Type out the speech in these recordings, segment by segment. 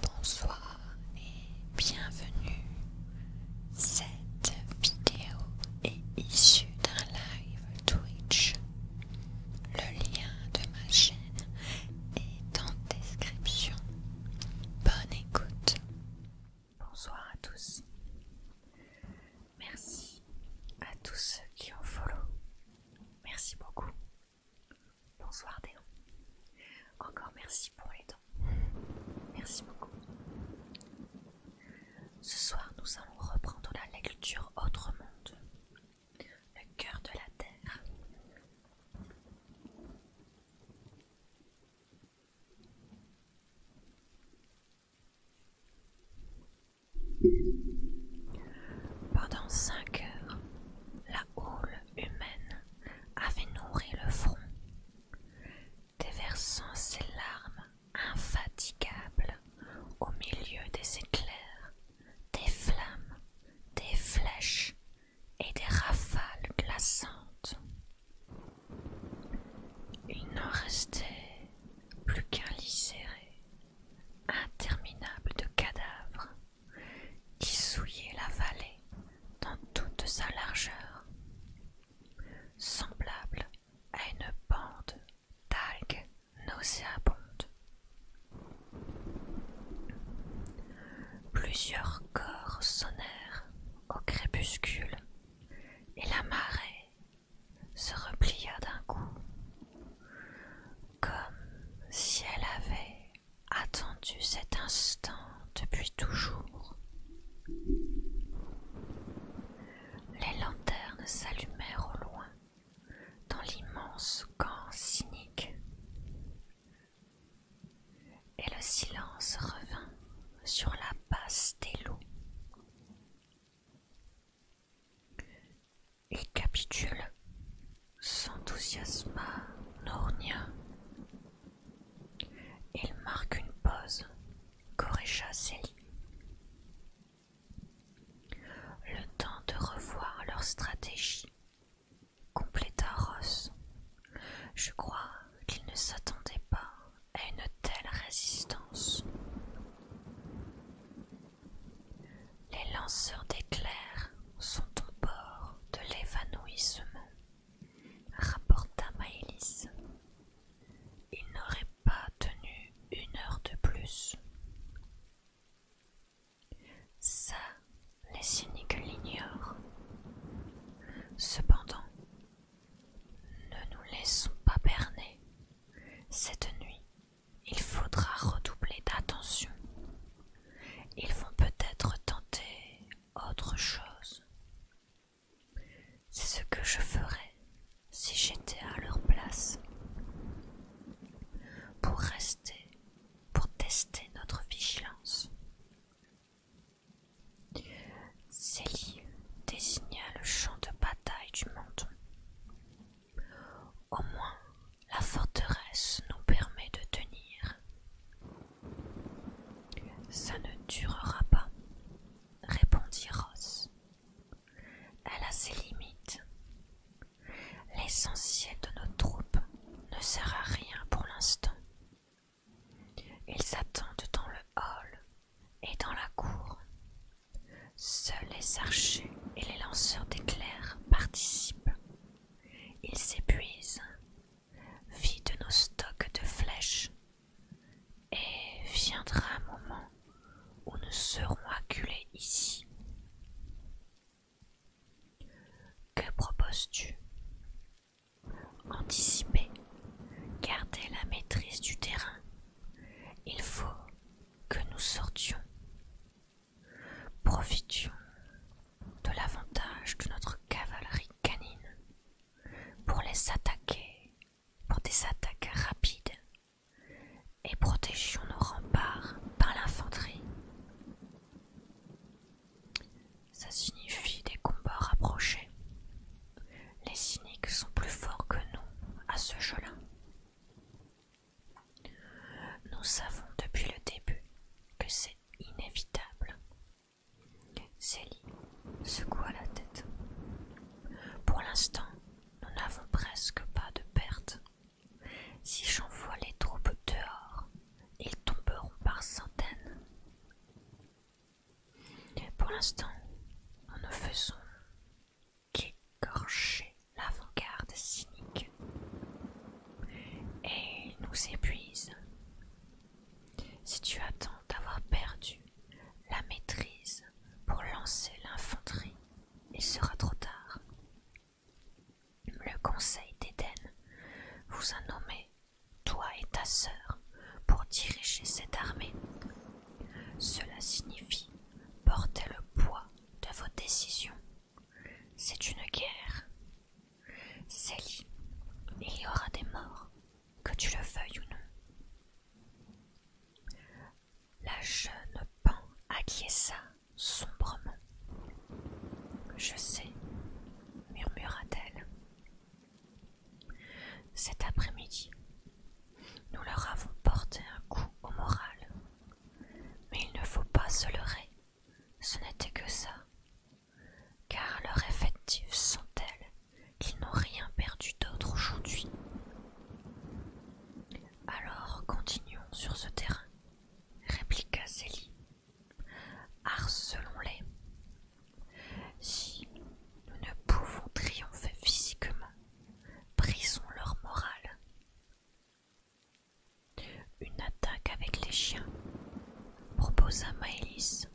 Bonsoir et bienvenue. Cette vidéo est issue d'un live Twitch. Le lien de ma chaîne est en description. Bonne écoute. Bonsoir à tous. Merci à tous ceux qui ont follow. Merci beaucoup. Bonsoir Déon Encore merci pour les dons. Merci beaucoup. Ce soir, nous allons reprendre la lecture Autre Monde, le cœur de la Terre. Pendant 5 heures, la houle humaine avait nourri le front, déversant ses larmes infatigables au milieu des éclairs, des flammes, des flèches et des rafales glaçantes. Il n'en restait plus qu'un lisséré, interminable de cadavres, qui souillait la vallée dans toute sa largeur, semblable à une bande d'algues nauséabondes. Plusieurs corps sonnèrent au crépuscule et la marée se replia d'un coup, comme si elle avait attendu cet instant depuis toujours. Les lanternes s'allumèrent au loin, dans l'immense camp cynique, et le silence revint sur la base des loups. et capitule s'enthousiasma rien. Il marque une pause. Corécha Céline. Le temps de revoir leur stratégie, compléta Ross. Je crois qu'ils ne s'attendaient pas à une telle résistance. Les lanceurs d'éclairs sont au bord de l'évanouissement rapporta Maëlys. Il n'aurait pas tenu une heure de plus. Ça, les cyniques l'ignorent. Cependant, ne nous laissons pas berner. Cette nuit, il faudra redoubler d'attention. Ils vont peut-être tenter autre chose. C'est ce que je ferais si j'étais à leur place. Pour rester, pour tester notre vigilance. Célie désigna le champ de bataille du menton. Au moins, la forteresse nous permet de tenir. Ça ne durera pas, répondit Ross. Elle a ses limites. L'essentiel de nos troupes ne sert à rien pour l'instant. Ils attendent dans le hall et dans la cour. Seuls les archers et les lanceurs d'éclairs participent. Ils s'épuisent Vide nos stocks de flèches, et viendra un moment où nous serons acculés ici. Que proposes-tu Anticiper, garder la maîtrise du terrain. Il faut que nous sortions. Profitions de l'avantage de notre cavalerie canine pour les attaquer, pour des attaques rapides, et protégions nos remparts par l'infanterie. Ça signifie des combats rapprochés. Les cyniques sont plus forts que nous à ce jeu-là. Nous savons depuis le début que c'est inévitable Céline secoua la tête. Pour l'instant, nous n'avons presque pas de pertes. Si j'envoie les troupes dehors, ils tomberont par centaines. pour l'instant, nous ne faisons qu'écorcher l'avant-garde cynique. Et nous épuisent. Si tu attends d'avoir perdu la maîtrise pour lancer l'infanterie, il sera trop tard. Le conseil d'Éden vous a nommé, toi et ta sœur, pour diriger cette armée. Cela signifie porter le poids de vos décisions. C'est une guerre, Célie, il y aura des morts, que tu le veuilles ou non. La jeune Pan acquiesça sombrement. Je sais, murmura-t-elle. Cet après-midi, nous leur avons porté un coup au moral. Mais il ne faut pas se leurrer. Ce n'était que ça, car leurs effectifs sont tels qu'ils n'ont rien perdu d'autre aujourd'hui. Alors continuons sur ce terrain, répliqua Célie. Harcelons-les. Si nous ne pouvons triompher physiquement, brisons leur morale une attaque avec les chiens, proposa Maëlys,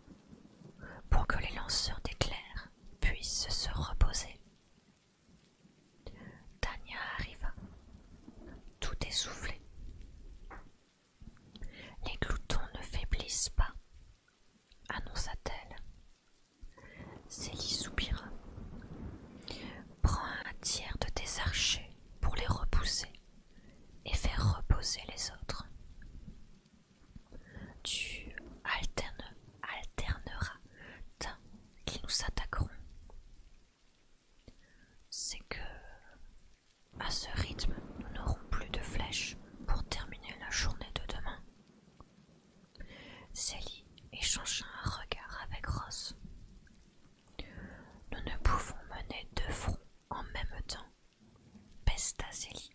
pour que les lanceurs d'éclairs puissent se reposer. Tania arriva, tout essoufflée. Les gloutons ne faiblissent pas, annonça-t-elle. Célie soupira. Prends un tiers de tes archers pour les repousser et faire reposer les autres. Tu alterneras d'un qui nous attaqueront. C'est que à ce rythme, nous n'aurons plus de flèches pour terminer la journée de demain. Sally échangea un regard avec Ross. Nous ne pouvons mener deux fronts en même temps. Pestasélie.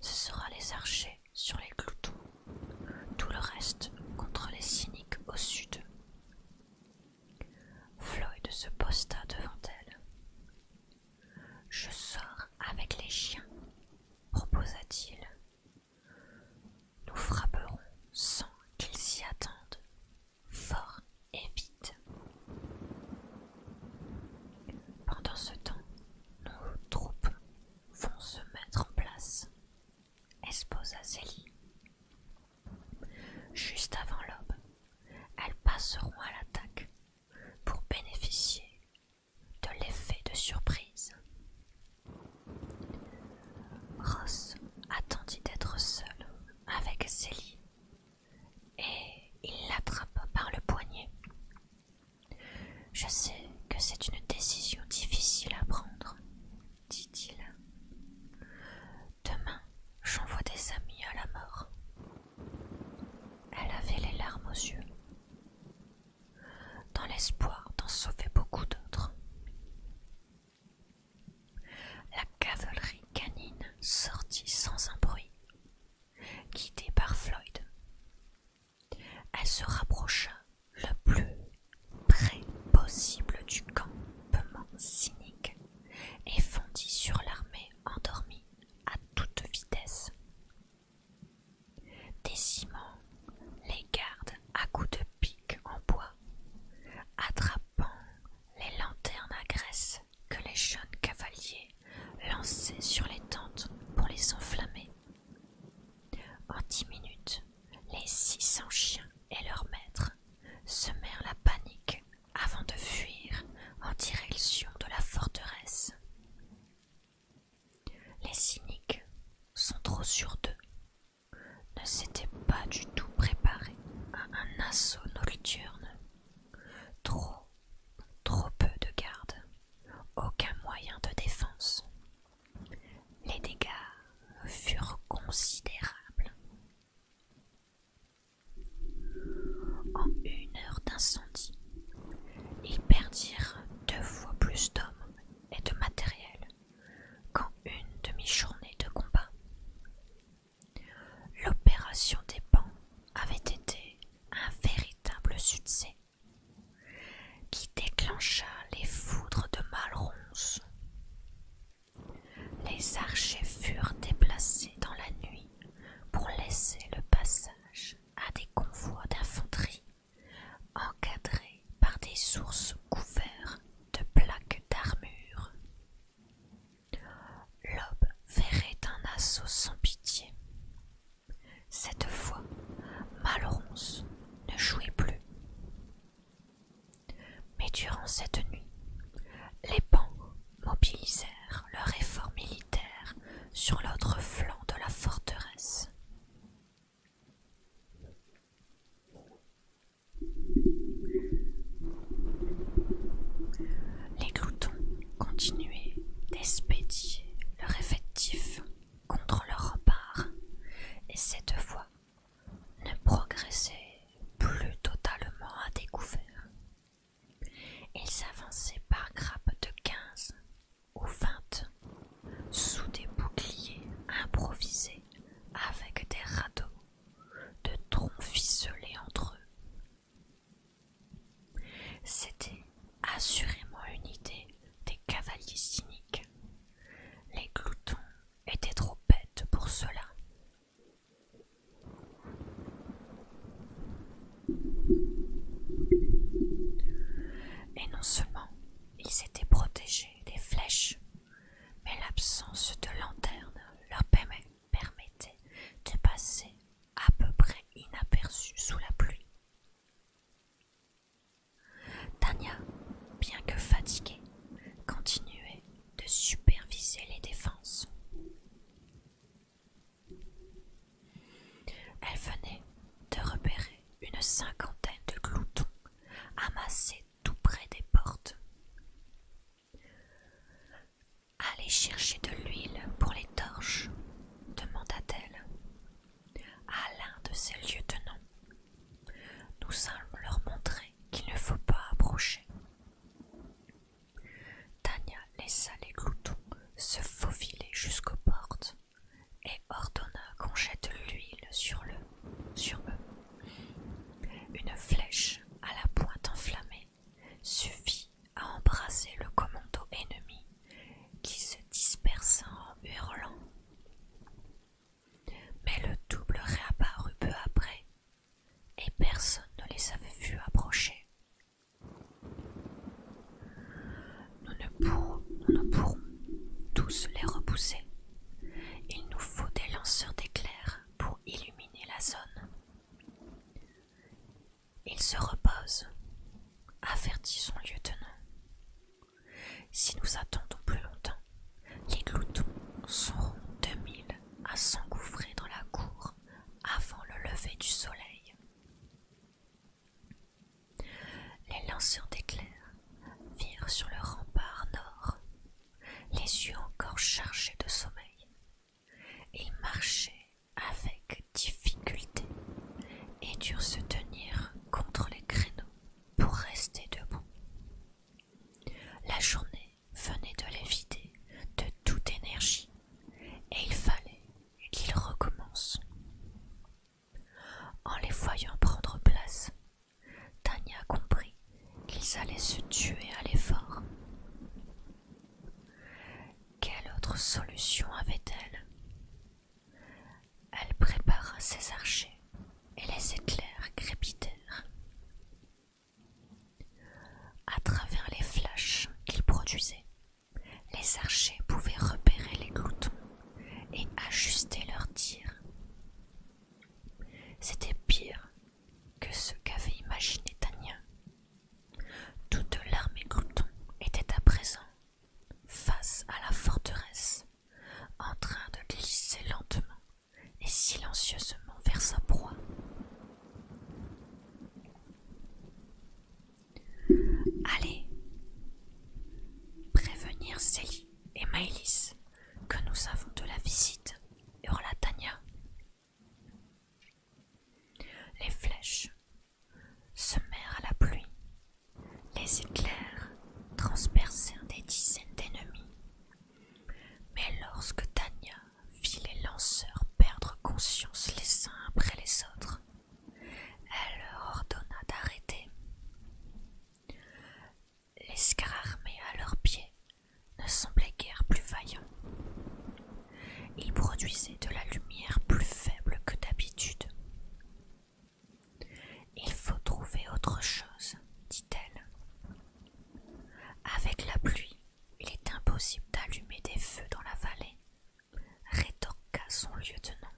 Ce sera les archers sur les cloutons, tout le reste contre les cyniques au sud. Floyd se posta devant elle. Je sors avec les chiens, proposa-t-il. Nous frapperons sans qu'ils s'y attendent fort et vite. Pendant ce temps, nos troupes vont se mettre en place, à Zélie. Juste avant l'aube, elles passeront à l'attaque pour bénéficier de l'effet de surprise. Ross attendit d'être seul avec Zélie et il l'attrapa par le poignet. Je sais que c'est une décision difficile à prendre, dit-il. Demain, j'envoie des amis à la mort. Elle avait les larmes aux yeux, dans l'espoir d'en sauver beaucoup d'autres. La cavalerie canine sortit sans un bruit, guidée par Floyd. Elle se rapprocha le plus près possible du campement cynique et fondit sur l'armée endormie à toute vitesse. Décimant les gardes à coups de pique en bois, attrapant les lanternes à graisse que les jeunes cavaliers lançaient sur les tentes pour les enflammer. En dix minutes, les six cents chiens et leurs maîtres semèrent la panique avant de fuir en direction de la forteresse. Les cyniques sans trop sûrs d'eux, ne s'étaient pas du tout préparés à un assaut nocturne Trop, trop peu de gardes, aucun moyen de défense. Les dégâts furent considérables. En une heure d'incendie, ils perdirent deux fois plus d'hommes et de matériel qu'en une demi-journée de combat. L'opération des bancs avait été un véritable succès qui déclencha les foudres de Malronce. Les archers furent déplacés dans la nuit pour laisser le passage à des convois d'infanterie encadrés par des sources couverts de plaques d'armure. L'aube verrait un assaut sans pitié. Cette fois, Malronce ne jouait plus. Mais durant cette nuit, les pans mobilisèrent leur effort militaire sur l'autre flanc de la forteresse les gloutons continuaient d'espédier leur effectif contre leur rempart, et cette fois ne progressaient plus totalement à découvert. Ils avançaient par grappes de quinze ou vingt sous des boucliers improvisés avec des radeaux de troncs ficelés entre eux c'était assurément une idée des cavaliers cyniques. Les gloutons étaient trop bêtes pour cela. Et non seulement ils étaient protégés des flèches, mais l'absence de lanterne leur permet, permettait de passer à peu près inaperçu sous la pluie. Tania, bien que fatiguée, continuait de superviser les défenses. Elle venait de repérer une cinquantaine de gloutons amassés tout près des portes. Allez chercher de l'huile pour les torches, demanda-t-elle à l'un de ses lieutenants. Nous allons leur montrer qu'il ne faut pas approcher. Tania laissa les gloutons se faufiler jusqu'aux portes et ordonna qu'on jette l'huile sur, le, sur eux. Une flèche à la pointe enflammée suffit à embrasser le commando ennemi qui se dispersa en hurlant. Mais le double réapparut peu après et personne ne les avait vus approcher. Nous ne pourrons, ne pourrons tous les repousser. Il nous faut des lanceurs d'éclairs pour illuminer la zone. Il se repose, avertit son lieutenant. Si nous attendons plus longtemps, les gloutons seront deux mille à s'engouffrer dans la cour avant le lever du soleil. Les lanceurs d'éclairs virent sur le rempart nord, les yeux encore chargés de sommeil, ils marchaient avec difficulté et durent se tenir contre les créneaux pour rester debout. La journée venait de les vider de toute énergie et il fallait qu'ils recommencent. En les voyant prendre place, Tania comprit qu'ils allaient se tuer à l'effort. Quelle autre solution avait-elle Elle prépara ses archers et les éclairs crépitèrent. À travers les flashs qu'ils produisaient, les archers pouvaient repérer les gloutons et ajuster leurs tirs. C'était pire que ce qu'avait imaginé Tania toute l'armée Crouton était à présent face à la forteresse, en train de glisser lentement et silencieusement vers sa proie. Allez prévenir Célie et Maëlys que nous avons de la visite, hurla Tania. Les flèches semèrent à la pluie. Les éclairs transpercèrent des dizaines d'ennemis. Mais lorsque Tania vit les lanceurs perdre conscience les uns après les autres, elle leur ordonna d'arrêter. Les scarabées à leurs pieds ne semblait guère plus vaillant. Il produisait de la lumière plus faible que d'habitude. Il faut trouver autre chose, dit-elle. Avec la pluie, il est impossible d'allumer des feux dans la vallée, rétorqua son lieutenant.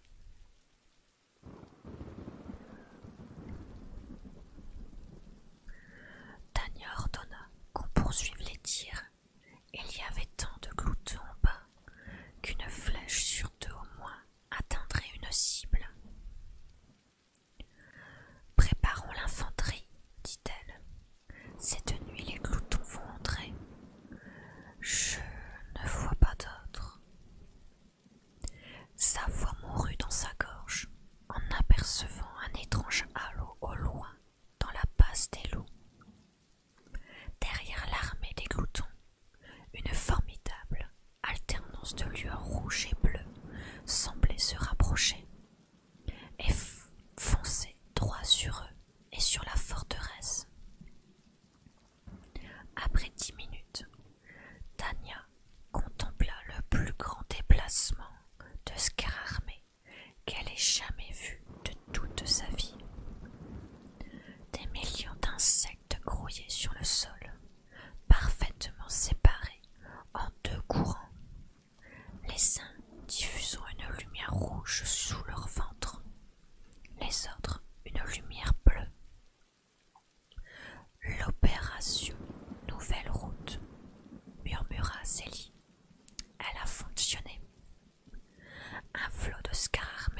Tania ordonna qu'on poursuive les tirs il y avait tant de gloutons en bas qu'une flèche sur deux au moins atteindrait une cible. Préparons l'infanterie, dit-elle. Cette nuit, les gloutons vont entrer. Je ne vois pas d'autres. Sa voix mourut dans sa gorge en apercevant un étrange halo au loin dans la passe des loups. Derrière l'armée des gloutons, une formidable alternance de lueurs rouges et bleues semblait se rapprocher et foncer droit sur eux et sur la forteresse. Après dix minutes, Tania contempla le plus grand déplacement de Scararmé qu'elle ait jamais vu de toute sa vie. Des millions d'insectes grouillaient sur le sol, parfaitement séparés en deux courants, les uns diffusant une lumière rouge sous leur ventre, les autres une lumière bleue. L'opération Nouvelle Route, murmura Zélie elle a fonctionné. Un flot de scars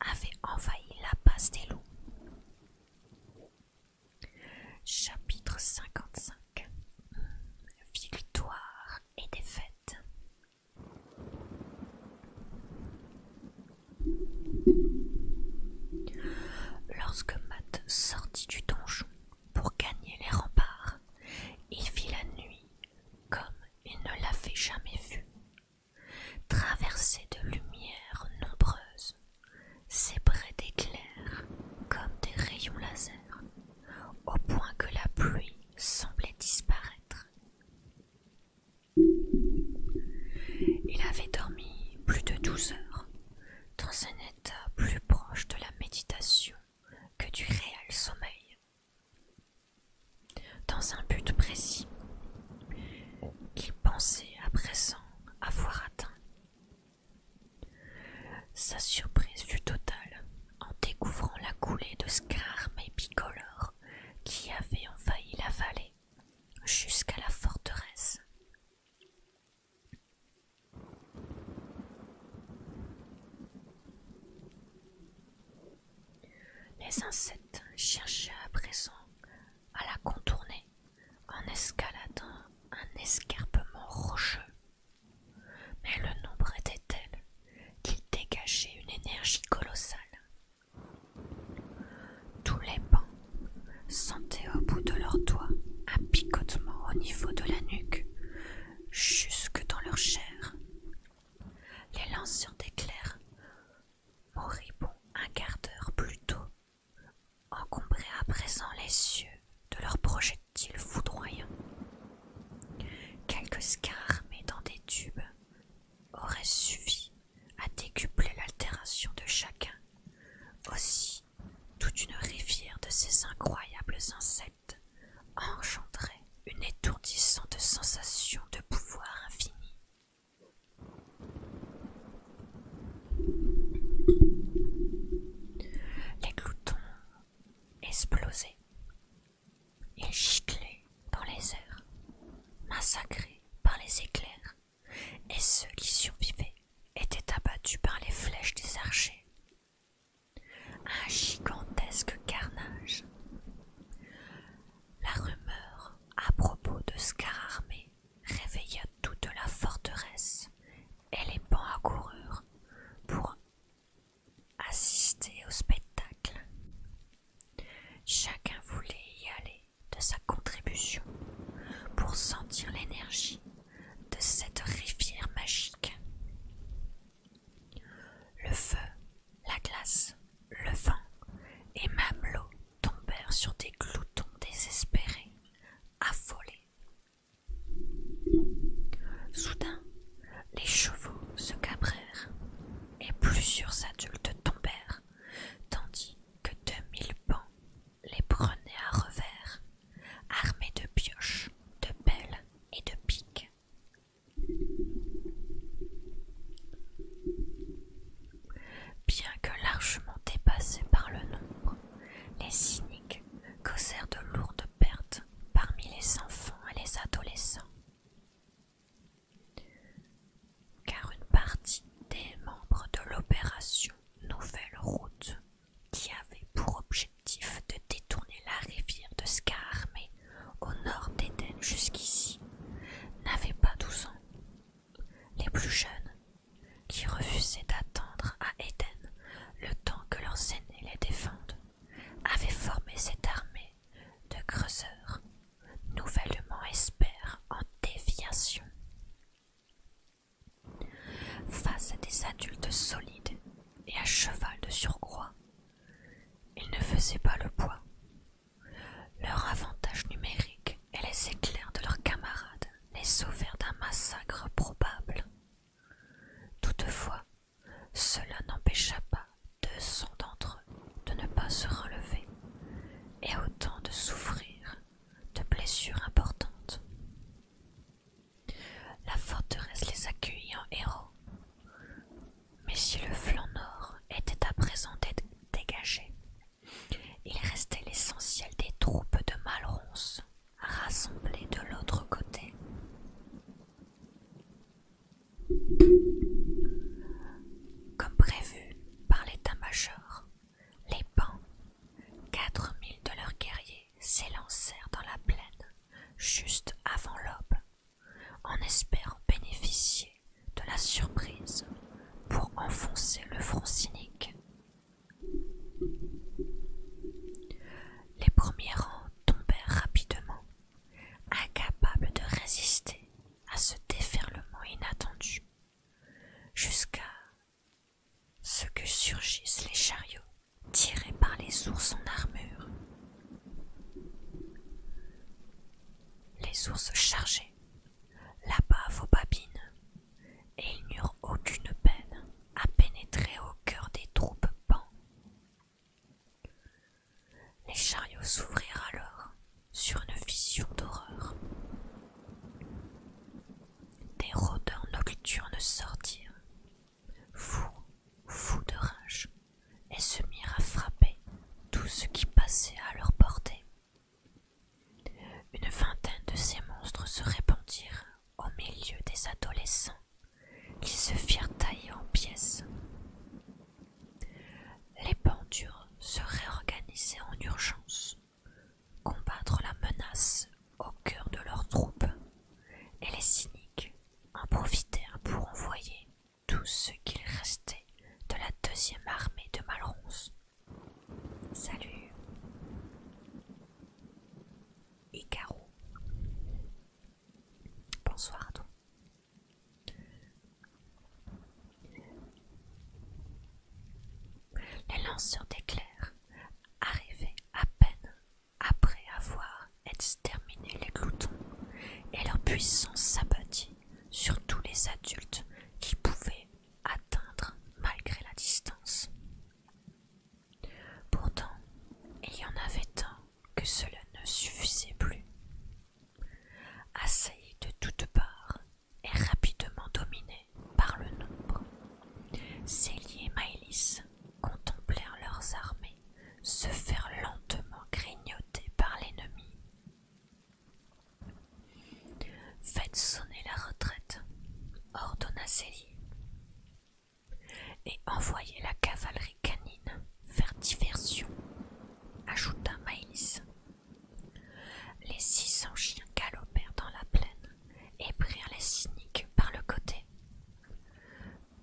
avait envahi la base des loups. Chapitre 55 Victoire et défaite Lorsque Matt sortit du donjon pour gagner les remparts, il vit la nuit comme il ne l'avait jamais vu, traversé de lumières nombreuses, sébrée d'éclairs comme des rayons lasers, au point que la pluie semblait disparaître. Il avait dormi plus de douze heures, dans un état plus proche de la méditation que du réel sommeil, dans un but précis qu'il pensait à présent avoir atteint. Sa surprise fut totale en découvrant la coulée de scarmes bicolores qui avait envahi la vallée jusqu'à la forteresse. Les insectes cherchaient à présent à la contourner en escaladant un escarpement rocheux. Mais le nombre était tel qu'il dégageait une énergie colossale. Tous les bancs sentaient au bout de leurs doigts un picotement au niveau de la nuque jusque dans leur chair. Les lanceurs d'éclairs, moribonds un quart d'heure plus tôt, encombraient à présent les cieux de leurs projectiles foudroyants. Quelques scarmes dans des tubes auraient suffi à décupler l'altération de chacun. Aussi, toute une rivière de ces incroyables insectes engendrait une étourdissante sensation de pouvoir infini. Les gloutons explosaient. Ils giclaient dans les airs, massacrés par les éclairs, et ceux qui survivaient étaient abattus par les flèches des archers. Un gigantesque carnage. La rumeur à propos de Scararmé réveilla toute la forteresse et les bancs accoururent pour assister au spectacle. Chacun voulait y aller de sa contribution pour sentir l'énergie de cette rivière magique. Le feu, la glace, le vent et même l'eau tombèrent sur des gloutons désespérés, affolés. Soudain, les chevaux se cabrèrent et plusieurs adultes tombèrent, tandis que deux mille pans les prenaient à revers, armés de pioches, de pelles et de piques. Bien que largement dépassés par le nombre, les cyniques causèrent de lourdes pertes parmi les enfants et les adolescents. Car une partie des membres de l'opération Nouvelle Route, qui avait pour objet de détourner la rivière de Scarmé au nord d'Éden jusqu'ici n'avait pas douze ans. Les plus jeunes, qui refusaient d'attendre à Éden le temps que leurs aînés les défendent, avaient formé cette armée de creuseurs, nouvellement espères en déviation. Face à des adultes solides et à cheval de surcroît, ils ne faisaient pas le poids. Leur avantage numérique et les éclairs de leurs camarades les sauvèrent d'un massacre probable. Toutefois, cela n'empêcha pas deux cents d'entre eux de ne pas se relever et autant de souffrir de blessures importantes. La forteresse les accueillit en héros. Mais si le flanc nord était à présent dégagé, il restait l'essentiel des troupes de Malronce rassemblées de l'autre côté. Comme prévu par l'état-major, les pans, quatre mille de leurs guerriers, s'élancèrent dans la plaine juste avant l'aube en espérant bénéficier de la surprise pour enfoncer le front cynique. Les premiers rangs tombèrent rapidement, incapables de résister à ce déferlement inattendu, jusqu'à ce que surgissent les chariots tirés par les ours en armure les ours chargeaient, là-bas aux babines, et ils n'eurent aucune peine à pénétrer au cœur des troupes pans. Les chariots s'ouvrirent alors sur une vision d'horreur. Des rôdeurs nocturnes sortirent Fou, fous de rage, et se mirent à frapper tout ce qui passait à leur portée. Une vingtaine de ces monstres se répandirent au milieu des adolescents, qui se firent tailler en pièces. Les pendures se réorganisaient en urgence, combattre la menace au cœur de leurs troupes, et les cyniques en profitèrent pour envoyer tout ce qu'il restait de la deuxième armée de Malronce. Salut Icaro Bonsoir à toi. Les lanceurs d'éclairs arrivaient à peine après avoir exterminé les gloutons, et leur puissance s'abattit sur tous les adultes qui pouvaient atteindre malgré la distance. Pourtant, il y en avait tant que cela ne suffisait plus. Assaillis de toutes parts et rapidement dominés par le nombre, Célie et Maëlys contemplèrent leurs armées se faire lentement grignoter par l'ennemi. Faites sonner la retraite, ordonna Célie, et envoyez la cavalerie canine faire diversion, ajouta Maïs. Les six cents chiens galopèrent dans la plaine et prirent les cyniques par le côté.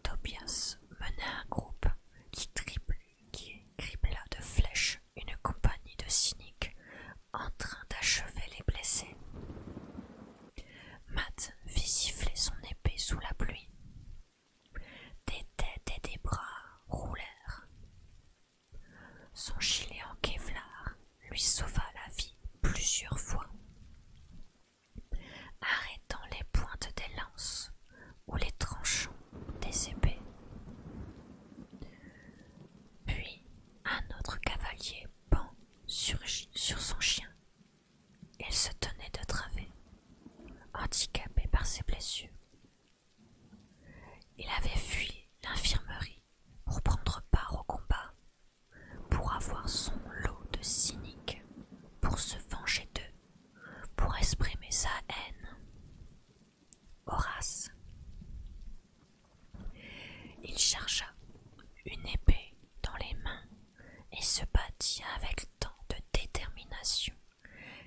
Tobias mena un groupe qui, triple, qui de flèches une compagnie de cyniques en train d'achever les blessés. Matt fit siffler son épée sous la pluie. Des têtes et des bras roulèrent. Son gilet en kevlar lui sauva la vie plusieurs fois arrêtant les pointes des lances ou les tranchants des épées. Puis un autre cavalier pend sur son chien. Il se tenait de travers, handicapé par ses blessures. Il avait fui l'infirmerie pour prendre part au combat, pour avoir son lot de cyniques, pour se venger d'eux pour exprimer sa haine. Horace. Il chargea une épée dans les mains et se battit avec tant de détermination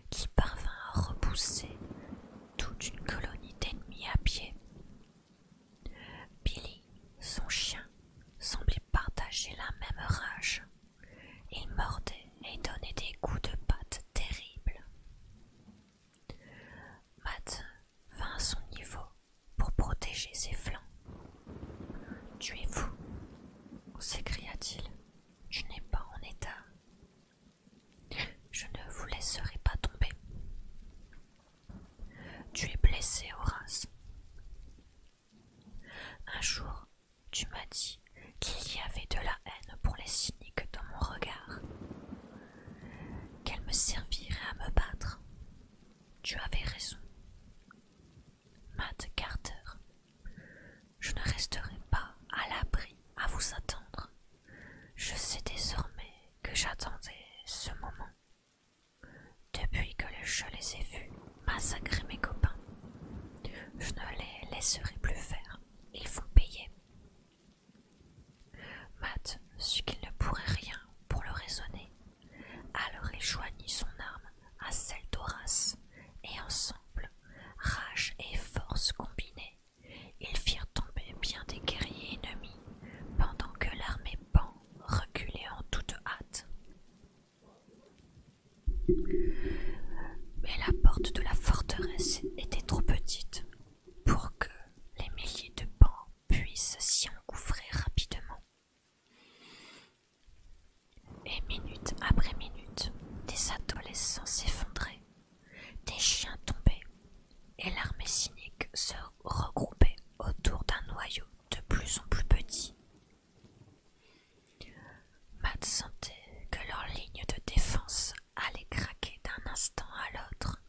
qu'il parvint à repousser toute une colonie d'ennemis à pied. Billy, son chien, semblait partager la même rage. Il mordait et donnait des coups de patte terribles. Matt vint à son niveau pour protéger ses flancs. Tu es fou s'écria-t-il. Je n'ai pas en état. Je ne vous laisserai pas tomber. Tu es blessé, Horace. Un jour, tu m'as dit qu'il y avait de la haine pour les cyniques dans mon regard, qu'elle me servirait à me battre. Tu avais raison. Matt Carter, je ne resterai pas à l'abri à vous attendre. Je sais désormais que j'attendais ce moment. Depuis que je les ai vus, massacrer mes copains. Je ne les laisserai plus faire. Ils font payer. Matt sut qu'il ne pourrait rien pour le raisonner. Alors il joignit son arme à celle d'Horace, et ensemble, rage et force combinées, ils firent tomber bien des guerriers ennemis, pendant que l'armée Pan reculait en toute hâte. Mais la porte de la forteresse était trop petite pour que les milliers de pans puissent s'y engouffrer rapidement. Et minute après minute, des adolescents s'effondraient, des chiens tombaient, et l'armée cynique se regroupait autour d'un noyau de plus en plus petit Matt sentait que leur ligne de défense allait craquer d'un instant à l'autre,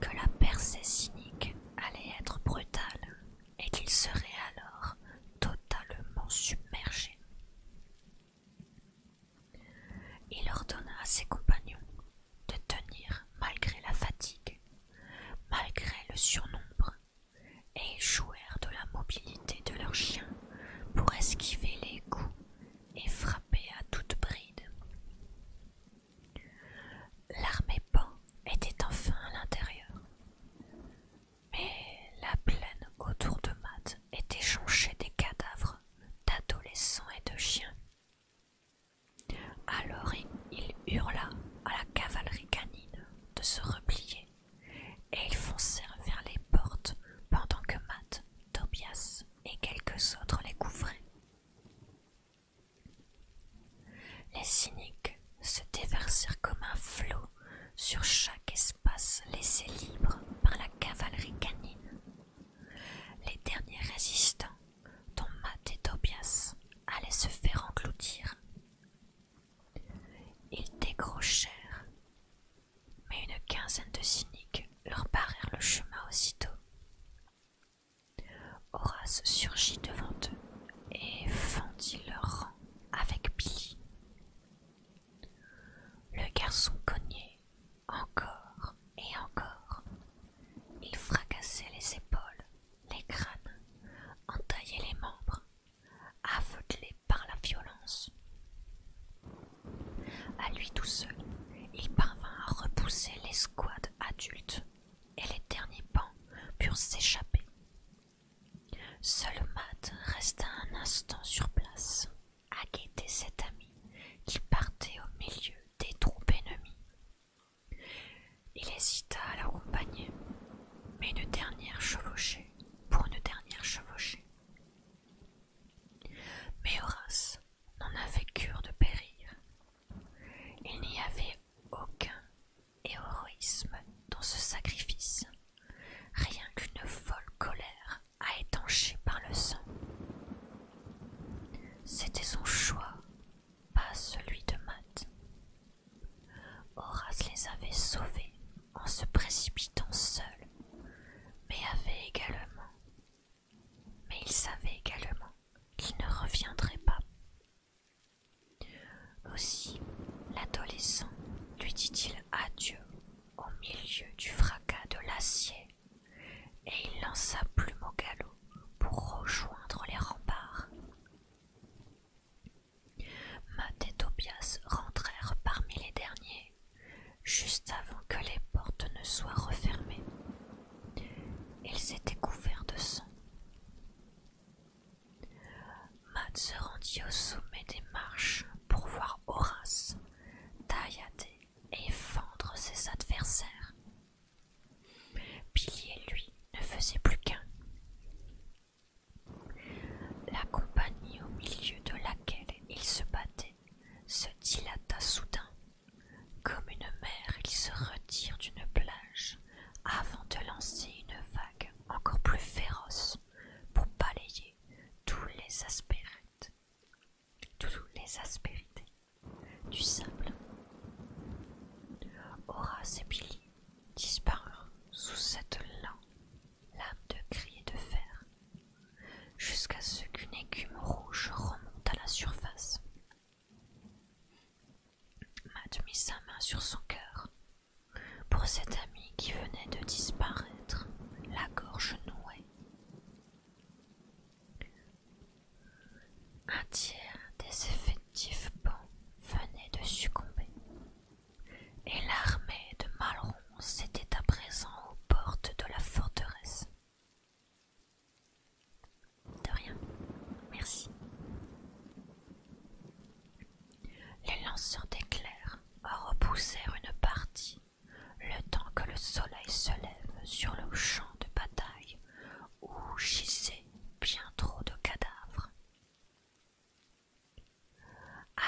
que la percée cynique allait être brutale et qu'ils seraient alors totalement submergés. Il ordonna à ses compagnons de tenir malgré la fatigue, malgré le surnombre et jouèrent de la mobilité de leurs chiens pour esquiver les coups et frapper à toute bride. L'armée pan était enfin à l'intérieur, mais la plaine autour de Matt était jonchée des cadavres d'adolescents et de chiens. Alors il hurla à la cavalerie canine de se replier et ils foncèrent vers les portes pendant que Matt, Tobias et quelques autres les couvraient. Les cyniques se déversèrent comme un flot sur chaque espace laissé libre par la cavalerie canine. Les derniers résistants, dont Matt et Tobias, allaient se faire engloutir. Ils décrochèrent, mais une quinzaine de cyniques leur barrèrent le chemin aussitôt. Horace surgit devant eux et fendit leur rang avec Billy. Le garçon cognait encore et encore. Il fracassait les épaules, les crânes, entaillait les membres aveuglé par la violence. À lui tout seul, il parvint à repousser l'escouade adulte et les derniers pans purent s'échapper. Seul Matt resta un instant sur place, à guetter cet ami qui partait au milieu des troupes ennemies. Il hésita à l'accompagner, mais une dernière chevauchée pour une dernière chevauchée mais Horace n'en avait cure de périr. Il n'y avait aucun héroïsme dans ce sacrifice, rien qu'une folle colère à étancher par le sang. C'était son choix, pas celui de Matt. Horace les avait sauvés en se précipitant seul, mais avait également, mais il savait également qu'il ne reviendrait pas. Aussi, l'adolescent lui dit-il adieu au milieu du fracas de l'acier, et il lança plume au galop pour rejoindre les remparts. Matt et Tobias rentrèrent parmi les derniers, juste avant que les portes ne soient refermées. Ils étaient couverts de sang. Matt se rendit au sommet des marches pour voir Horace taillader et fendre ses adversaires. pilier lui ne faisait plus qu'un. La compagnie au milieu de laquelle il se battait se dilata soudain. Comme une mer, il se retire d'une plage avant de lancer une vague encore plus féroce pour balayer tous les aspérités, tous les aspérités du sable. Horace et Billy disparurent sous cette lampe lame de crier de fer, jusqu'à ce qu'une écume rouge remonte à la surface. Matt mit sa main sur son cœur. Pour cet ami qui venait de disparaître, la gorge nouée. Un tiers des effectifs bons venait de succomber et l'armée de Malron s'était à présent aux portes de la forteresse. De rien, merci. Les lanceurs d'éclairs repoussèrent une partie le temps que le soleil se lève sur le champ de bataille où gisaient bien trop de cadavres.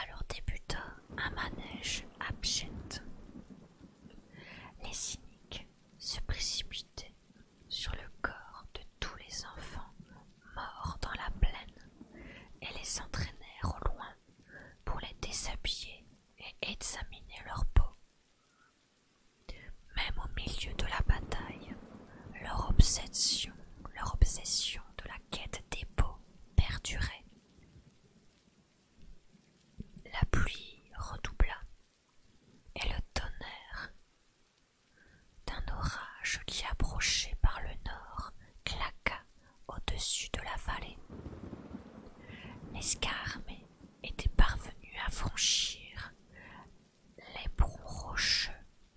Alors débuta un manège abject. Les cyniques se précipitaient sur le corps de tous les enfants morts dans la plaine et les entraînèrent au loin pour les déshabiller et examiner leur peau. Même au milieu de la bataille, leur obsession, leur obsession de la quête des peaux perdurait la pluie redoubla et le tonnerre d'un orage qui approchait par le nord claqua au-dessus de la vallée. L'escarmée était parvenue à franchir les rocheux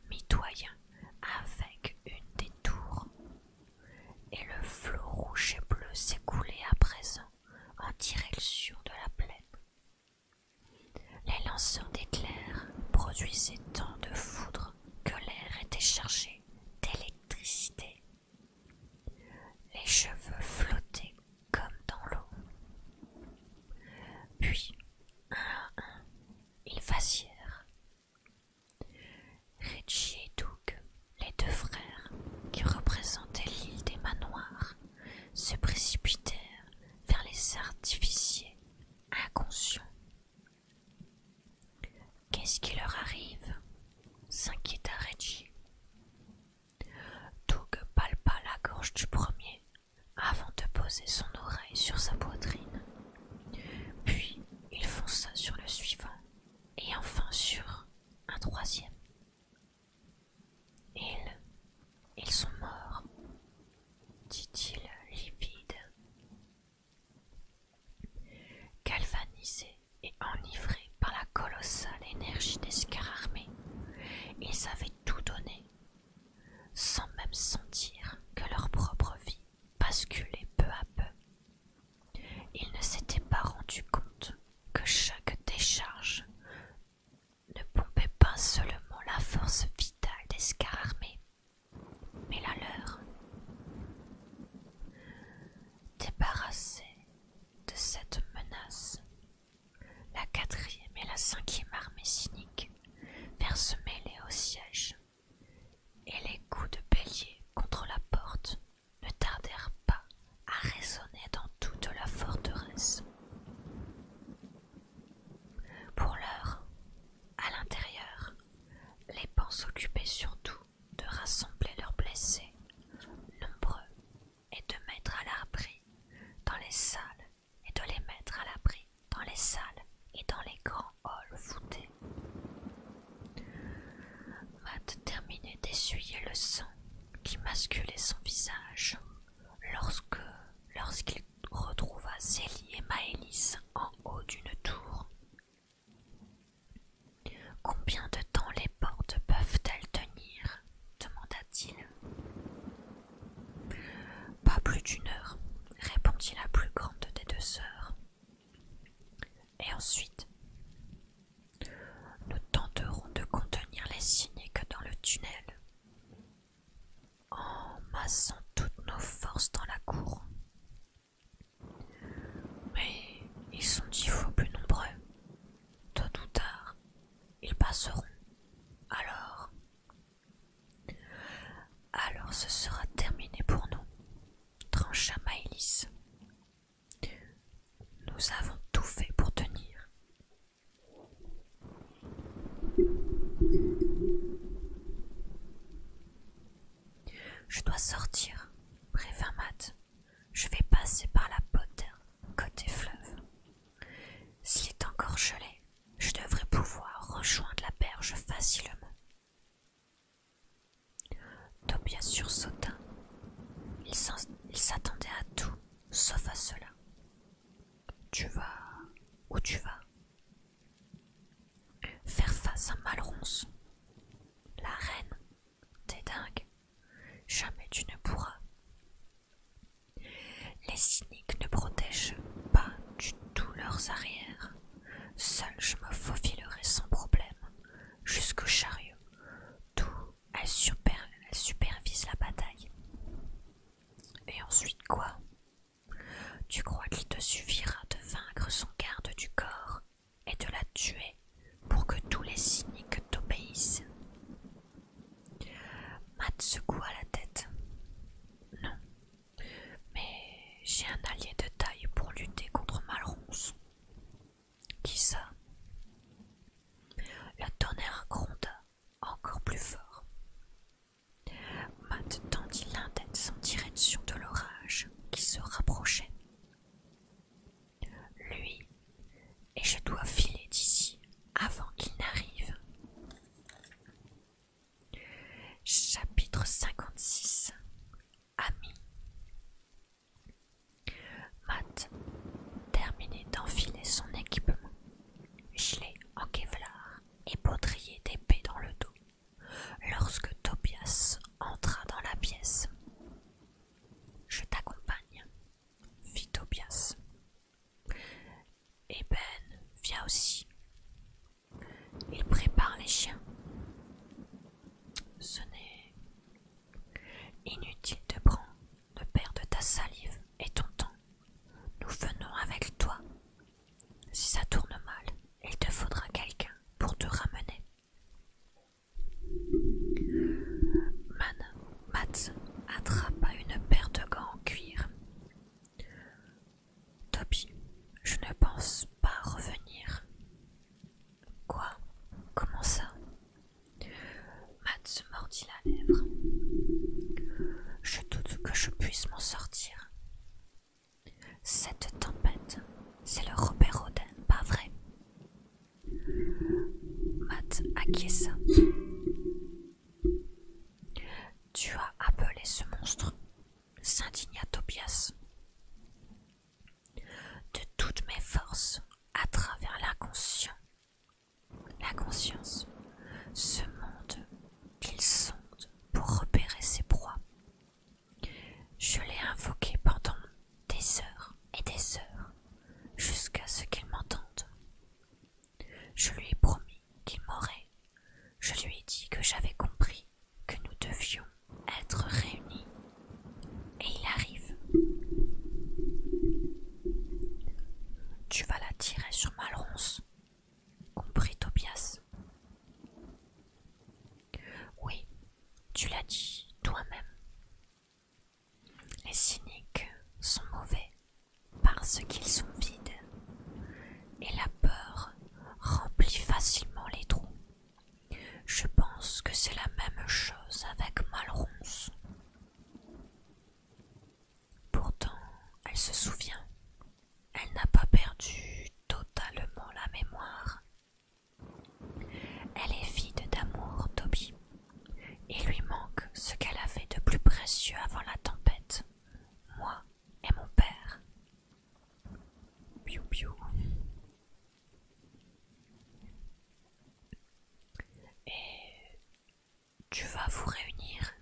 mitoyens avec une des et le flot rouge et bleu s'écoulait à présent en direction de la plaine. Les lanceurs d'éclairs produisaient tant de foudre que l'air était chargé d'électricité. Les cheveux flottaient comme dans l'eau. Puis, un à un, ils vacillèrent Reggie et Doug, les deux frères qui représentaient l'île des manoirs, se précipitèrent vers les artificiers inconscients. Qu'est-ce qui leur arrive s'inquiéta Reggie. Doug palpa la gorge du premier avant de poser son oreille sur sa poitrine. Puis il fonça sur le suivant et enfin sur un troisième. Ils, ils sont morts, dit-il livide. Galvanisé et enivrés par la colossale énergie des scararmées, ils avaient tout donné, sans même sentir que leur propre vie basculait peu à peu il ne s'était pas rendu compte que chaque décharge ne pompait pas seulement la force vitale des scars mais la leur. Débarrassés de cette menace, la quatrième et la cinquième armée cynique vers se mêler au siège et les coups de bélier contre la porte ne tardèrent pas à résonner dans toute la forteresse. Pour l'heure, à l'intérieur, les pans s'occupaient surtout de rassembler leurs blessés, nombreux, et de mettre à l'abri dans les salles, et de les mettre à l'abri dans les salles et dans les grands halls voûtés. Matt terminait d'essuyer le sang qui masculait son visage lorsque lorsqu'il retrouva Célie et Maëlys en haut d'une tour. Combien de temps les portes peuvent-elles tenir demanda-t-il. Pas plus d'une heure, répondit la plus grande des deux sœurs. Et ensuite, nous tenterons de contenir les cyniques dans le tunnel en massant toutes nos forces dans la cour. Mais ils sont dix fois plus nombreux. Tôt ou tard, ils passeront. Alors, alors ce sera terminé pour nous trancha hélice, Nous avons tout fait pour tenir. Je dois sortir, prévint Mat. Je vais passer par la poterne côté fleuve. S'il est encore gelé, je devrais pouvoir rejoindre la berge facilement. Tobias sursauta. Il s'attendait à tout, sauf à cela. Tu vas où tu vas Faire face à Malronce. La reine, t'es dingue. Jamais tu ne pourras. Les cyniques ne protègent pas du tout leurs arrières. Seul je me faufilerai sans problème jusqu'au chariot. Tout, elle, supervise la bataille. Et ensuite quoi Tu crois qu'il te suffira de vaincre son garde du corps et de la tuer pour que tous les cyniques t'obéissent Matt secoua la tête. Non, mais j'ai un allié de taille pour lutter contre Malronce. Qui ça La tonnerre gronda encore plus fort. Matt tendit l'index en direction de l'orage qui se rapprochait. Lui, et je dois filer d'ici avant qu'il n'arrive. Chapitre 56 ami. Matt terminait d'enfiler son équipement, gilet en kevlar et baudrier d'épée dans le dos, lorsque Tobias entra dans la pièce. Je t'accompagne, fit Tobias. Et Ben vient aussi. Il prépare les chiens. Ce n'est Inutile de prendre de perdre ta salive et ton temps. Nous venons avec toi. Si ça tourne mal, il te faudra quelqu'un pour te ramener. Man, Mats attrapa une paire de gants en cuir. Toby, je ne pense pas revenir. Quoi Comment ça Matt se mordit la lèvre. Je doute que je puisse m'en sortir. Cette tempête, c'est le Robert Rodin, pas vrai Matt acquiesça. Tu as appelé ce monstre s'indigna Tobias de toutes mes forces à travers l'inconscient, la conscience, ce monde qu'il sonde pour repérer ses proies. Je l'ai invoqué pendant des heures et des heures, jusqu'à ce qu'il m'entende. Je lui ai promis qu'il m'aurait. Je lui ai dit que j'avais compris que nous devions être réunis. Et il arrive. Tu vas la tirer sur Malronce, comprit Tobias. Oui, tu l'as dit toi-même. Les cyniques sont mauvais parce qu'ils sont vides et la peur remplit facilement les trous. Je pense que c'est la même chose avec Malronce. Pourtant, elle se souvient. Elle n'a pas perdu totalement la mémoire. Elle est vide d'amour, Toby. et lui manque ce qu'elle avait de plus précieux avant la tempête. Moi et mon père. Et tu vas vous réunir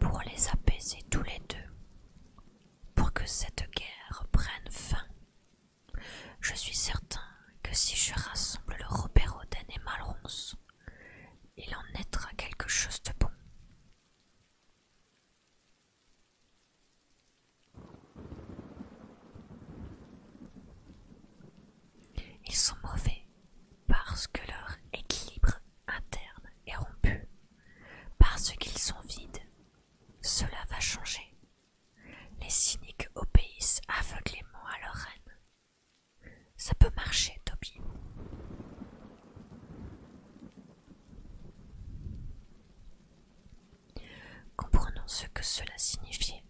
pour les apaiser tous les deux, pour que cette guerre prenne fin. Je suis certain que si je rassemble le Robert Oden et Malronce, il en naîtra quelque chose de bon. Ils sont mauvais parce que leur équilibre interne est rompu, parce qu'ils sont vides. Cela va changer. Les cyniques obéissent aveuglément à leur haine. Ça peut marcher, Toby. Comprenant ce que cela signifiait,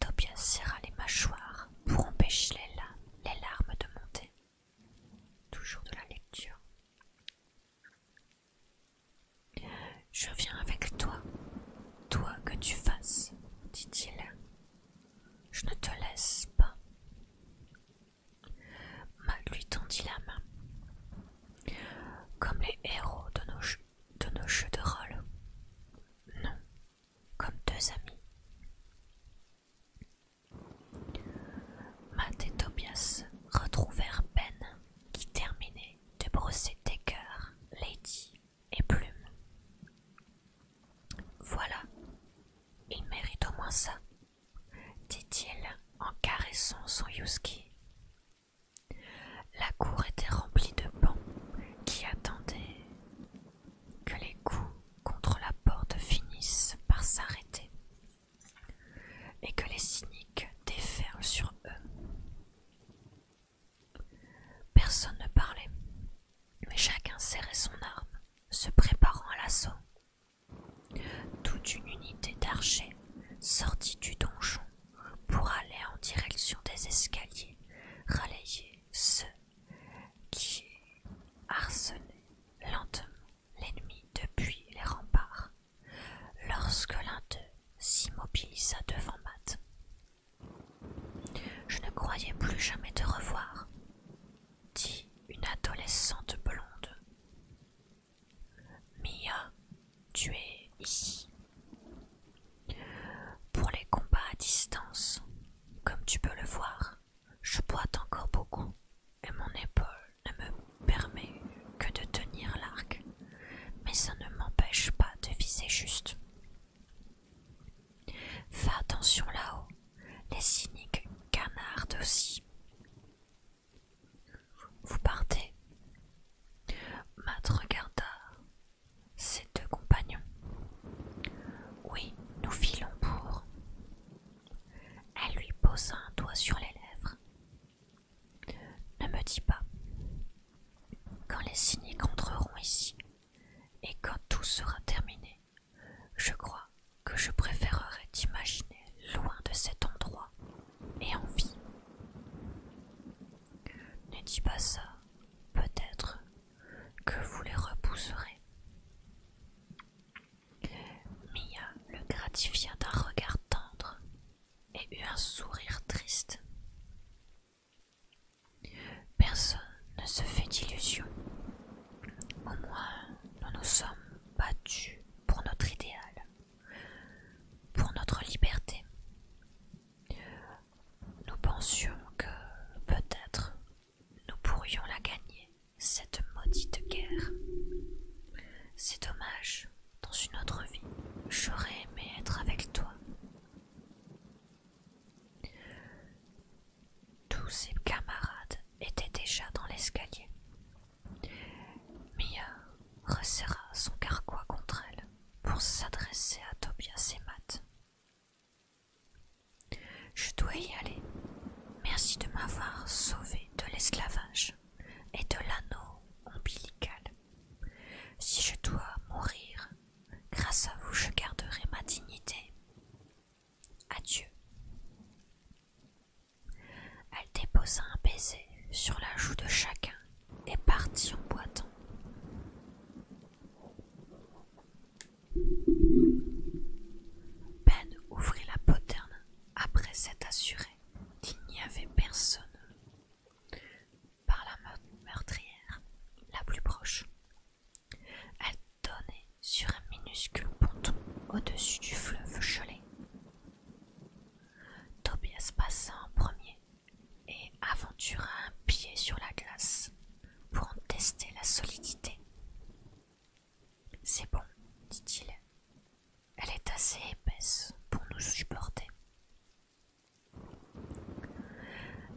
Tobias serra les mâchoires pour empêcher les, larmes de monter. Toujours de la lecture. Je viens avec toi, toi que tu fasses, dit-il. Je ne te laisse pas. Ma lui tendit la main. Comme les héros de nos, jeux, de rôle. Non, comme deux amis. Matt et Tobias retrouvèrent Ben qui terminait de brosser tes cœurs, Lady et Plume. Voilà, il mérite au moins ça, dit-il en caressant son Yuski. La cour était remplie de bancs qui attendaient que les coups contre la porte finissent par s'arrêter et que les cyniques déferlent sur eux. Personne ne parlait, mais chacun serrait son arme, se préparant à l'assaut. Toute une unité d'archers sortit du donjon pour aller en direction des escaliers, relayer ceux qui harcelaient lentement l'ennemi depuis les remparts, lorsque l'un d'eux s'immobilisa devant Matt. Je ne croyais plus jamais te revoir, dit une adolescente blonde. Mia, tu es ici. Pour les combats à distance, comme tu peux le voir, je boite encore beaucoup et mon épaule ne me permet que de tenir l'arc, mais ça ne m'empêche pas de viser juste. Fais attention là-haut, les cyniques canardent aussi. Vous partez Matt regarda ses deux compagnons. Oui, nous filons pour. Elle lui posa un doigt sur les lèvres. Ne me dis pas. Quand les cyniques entreront ici, et quand tout sera terminé, je crois que je préférerais t'imaginer loin de cet endroit et en vie. Ne dis pas ça, peut-être que vous les repousserez. Mia le gratifia d'un regard tendre et eut un sourire triste. Personne ne se fait d'illusions. Au moins, nous nous sommes battus pour notre idéal pour notre liberté. Nous pensions que peut-être nous pourrions la gagner, cette maudite guerre. C'est dommage, dans une autre vie, j'aurais aimé être avec toi. Tous ses camarades étaient déjà dans l'escalier. Mia resserra son carquois contre elle pour s'adresser à Tobias et Matt. Je dois y aller. Merci de m'avoir sauvé de l'esclavage et de l'anneau ombilical. Si je dois mourir, grâce à vous, je garderai ma dignité. Adieu. Elle déposa un baiser sur la joue de chacun et partit en boitant. Ben ouvrit la poterne après s'être assuré qu'il n'y avait personne par la meurtrière la plus proche. Elle donnait sur un minuscule ponton au-dessus du fleuve gelé. Tobias passa en premier et aventura un pied sur la glace pour en tester la solidité. C'est bon, dit-il. Elle est assez épaisse pour nous supporter.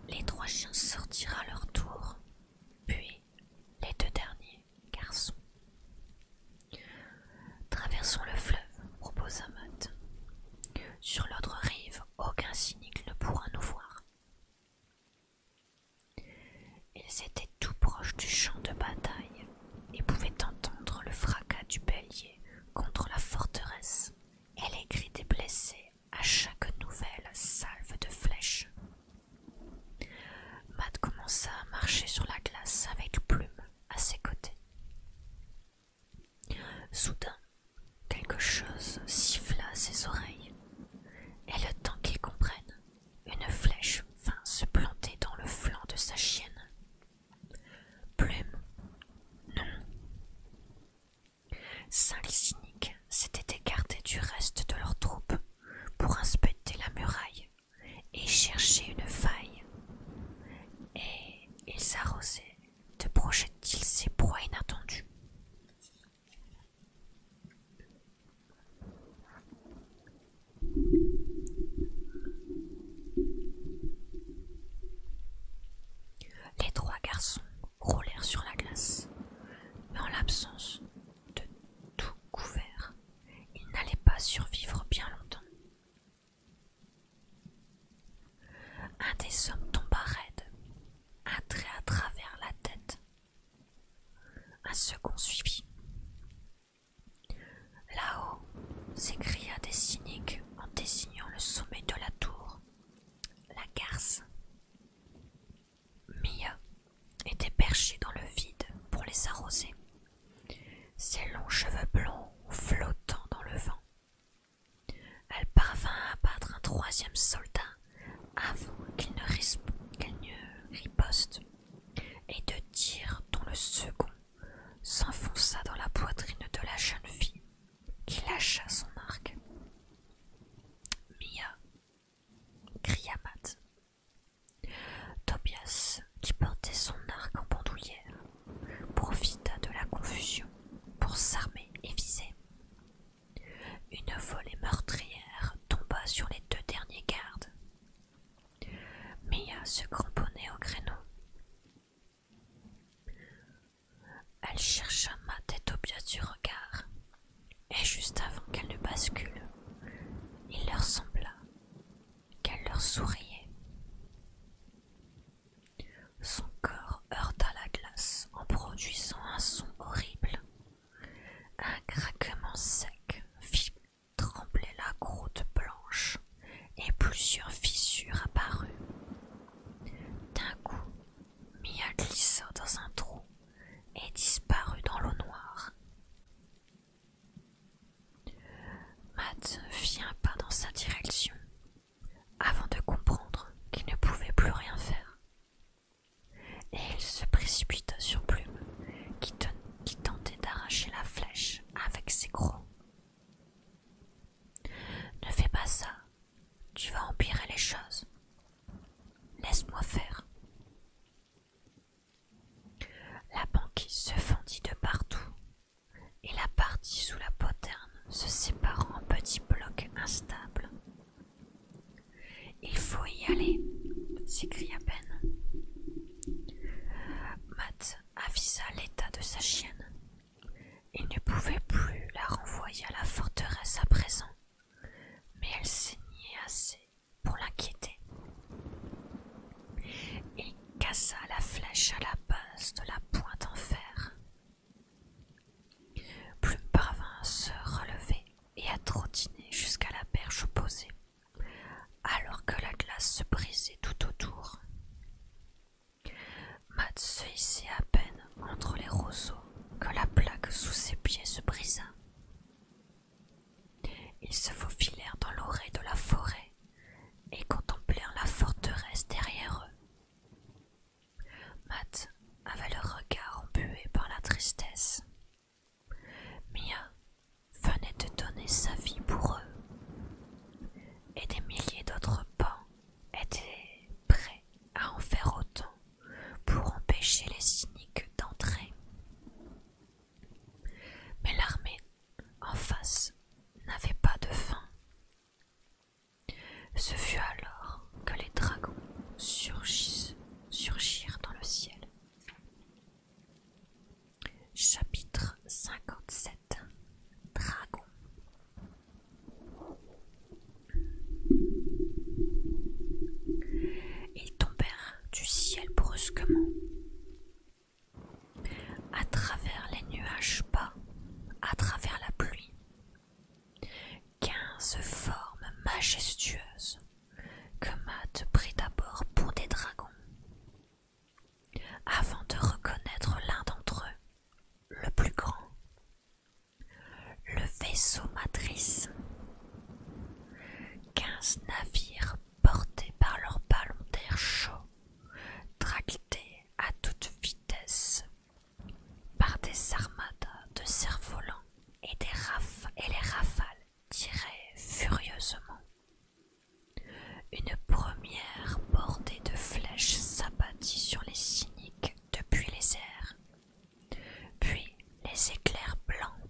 Les trois chiens sortirent à leur tour, puis les deux derniers garçons. Traversons le fleuve, proposa Matt. Sur l'autre rive, aucun cynique ne pourra nous voir. Ils étaient tout proches du champ de bataille et pouvaient entendre le fracas du bélier contre la forteresse et les cris des blessés à chaque nouvelle salve de flèches. Matt commença à marcher sur la glace avec Plume à ses côtés. Soudain, quelque chose siffla à ses oreilles, et le temps qu'il comprenne, une flèche vint se planter dans le flanc de sa chienne. Plume, non. cinq Cyniques s'étaient écartés du reste de leur troupe pour inspecter la muraille et chercher une faille et il arrosaient de projette-t-il ses proies inattendues. Les trois garçons roulèrent sur la glace, mais en l'absence de tout couvert, ils n'allaient pas survivre bien longtemps. Un des hommes tomba raide, un trait à travers la tête. Un second suivit. Là-haut, s'écria des cyniques en désignant le sommet de la tour, la garce. Mia était perchée dans le vide pour les arroser, ses longs cheveux blonds flottant dans le vent. Elle parvint à battre un troisième soldat avant qu'il ne, riposte, et de tirs dont le second s'enfonça dans la poitrine de la jeune fille qui lâcha son arc. Mia, cria Matt. Tobias, qui portait son arc en bandoulière, profita de la confusion pour s'armer et viser. Une volée meurtrière tomba sur les deux derniers gardes. Mia se cramponnait au créneau. Elle chercha ma tête au pied du regard, et juste avant qu'elle ne bascule, il leur sembla qu'elle leur souriait. Son corps heurta la glace en produisant un son horrible. Un craquement sec fit trembler la croûte blanche et plusieurs fissures apparurent. D'un coup, Mia glissa dans un trou et disparut dans l'eau noire. Matt fit un pas dans sa direction avant de comprendre qu'il ne pouvait plus rien faire. Et il se précipita sur Plume, qui, tentait d'arracher la flèche avec ses crocs. Ne fais pas ça, tu vas empirer les choses. Laisse-moi faire. La banquise se fendit de partout et la partie sous la poterne se séparant en petits blocs instables. Il faut y aller, s'écria Ben. Matt avisa l'état de sa chienne. Il ne pouvait plus la renvoyer à la forteresse à présent, mais elle saignait assez pour l'inquiéter cassa la flèche à la base de la pointe en fer. Plume parvint à se relever et à trottiner jusqu'à la berge opposée, alors que la glace se brisait tout autour. Matt se hissait à peine entre les roseaux que la plaque sous ses pieds se brisa. Ils se faufilèrent dans l'oreille de la forêt et contemplèrent la forteresse derrière eux. Matt avait le regard embué par la tristesse. Mia venait de donner sa vie pour eux, et des milliers d'autres pans étaient prêts à en faire autant pour empêcher les cyniques d'entrer. Mais l'armée en face n'avait pas de fin. Ce fut alors que les dragons surgissent, surgirent dans le ciel. Chapitre 57 Dragons Ils tombèrent du ciel brusquement à travers les nuages bas, à travers la pluie. Quinze formes majestueuses que Matt prit d'abord pour des dragons. Avant de reconnaître l'un d'entre eux, le plus grand, le vaisseau matrice, quinze navires portés par leurs ballons d'air chaud, tractés à toute vitesse par des armadas de cerfs-volants et, des et les rafales tiraient furieusement. Une première bordée de flèches s'abattit sur les cyniques depuis les airs, puis les éclairs blancs.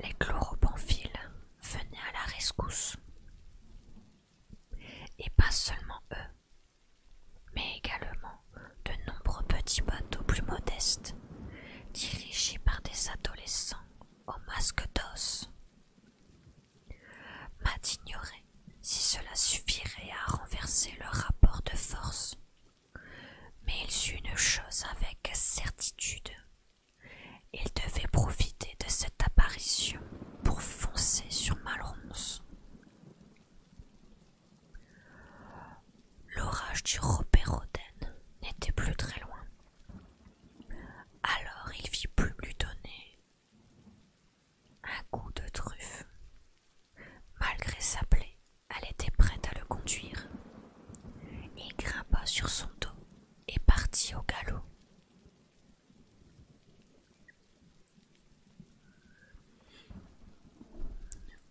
Les chloropamphiles venaient à la rescousse. Et pas seulement eux, mais également de nombreux petits bateaux plus modestes, dirigés par des adolescents au masque d'os. Matt ignorait si cela suffirait à renverser leur rapport de force. Mais il sut une chose avec certitude il devait profiter de cette apparition pour foncer sur Malronce. L'orage du robert n'était plus très loin. Alors il vit plus lui donner un coup de truffe. Malgré sa plaie, elle était prête à le conduire. Il grimpa sur son dos et partit au galop.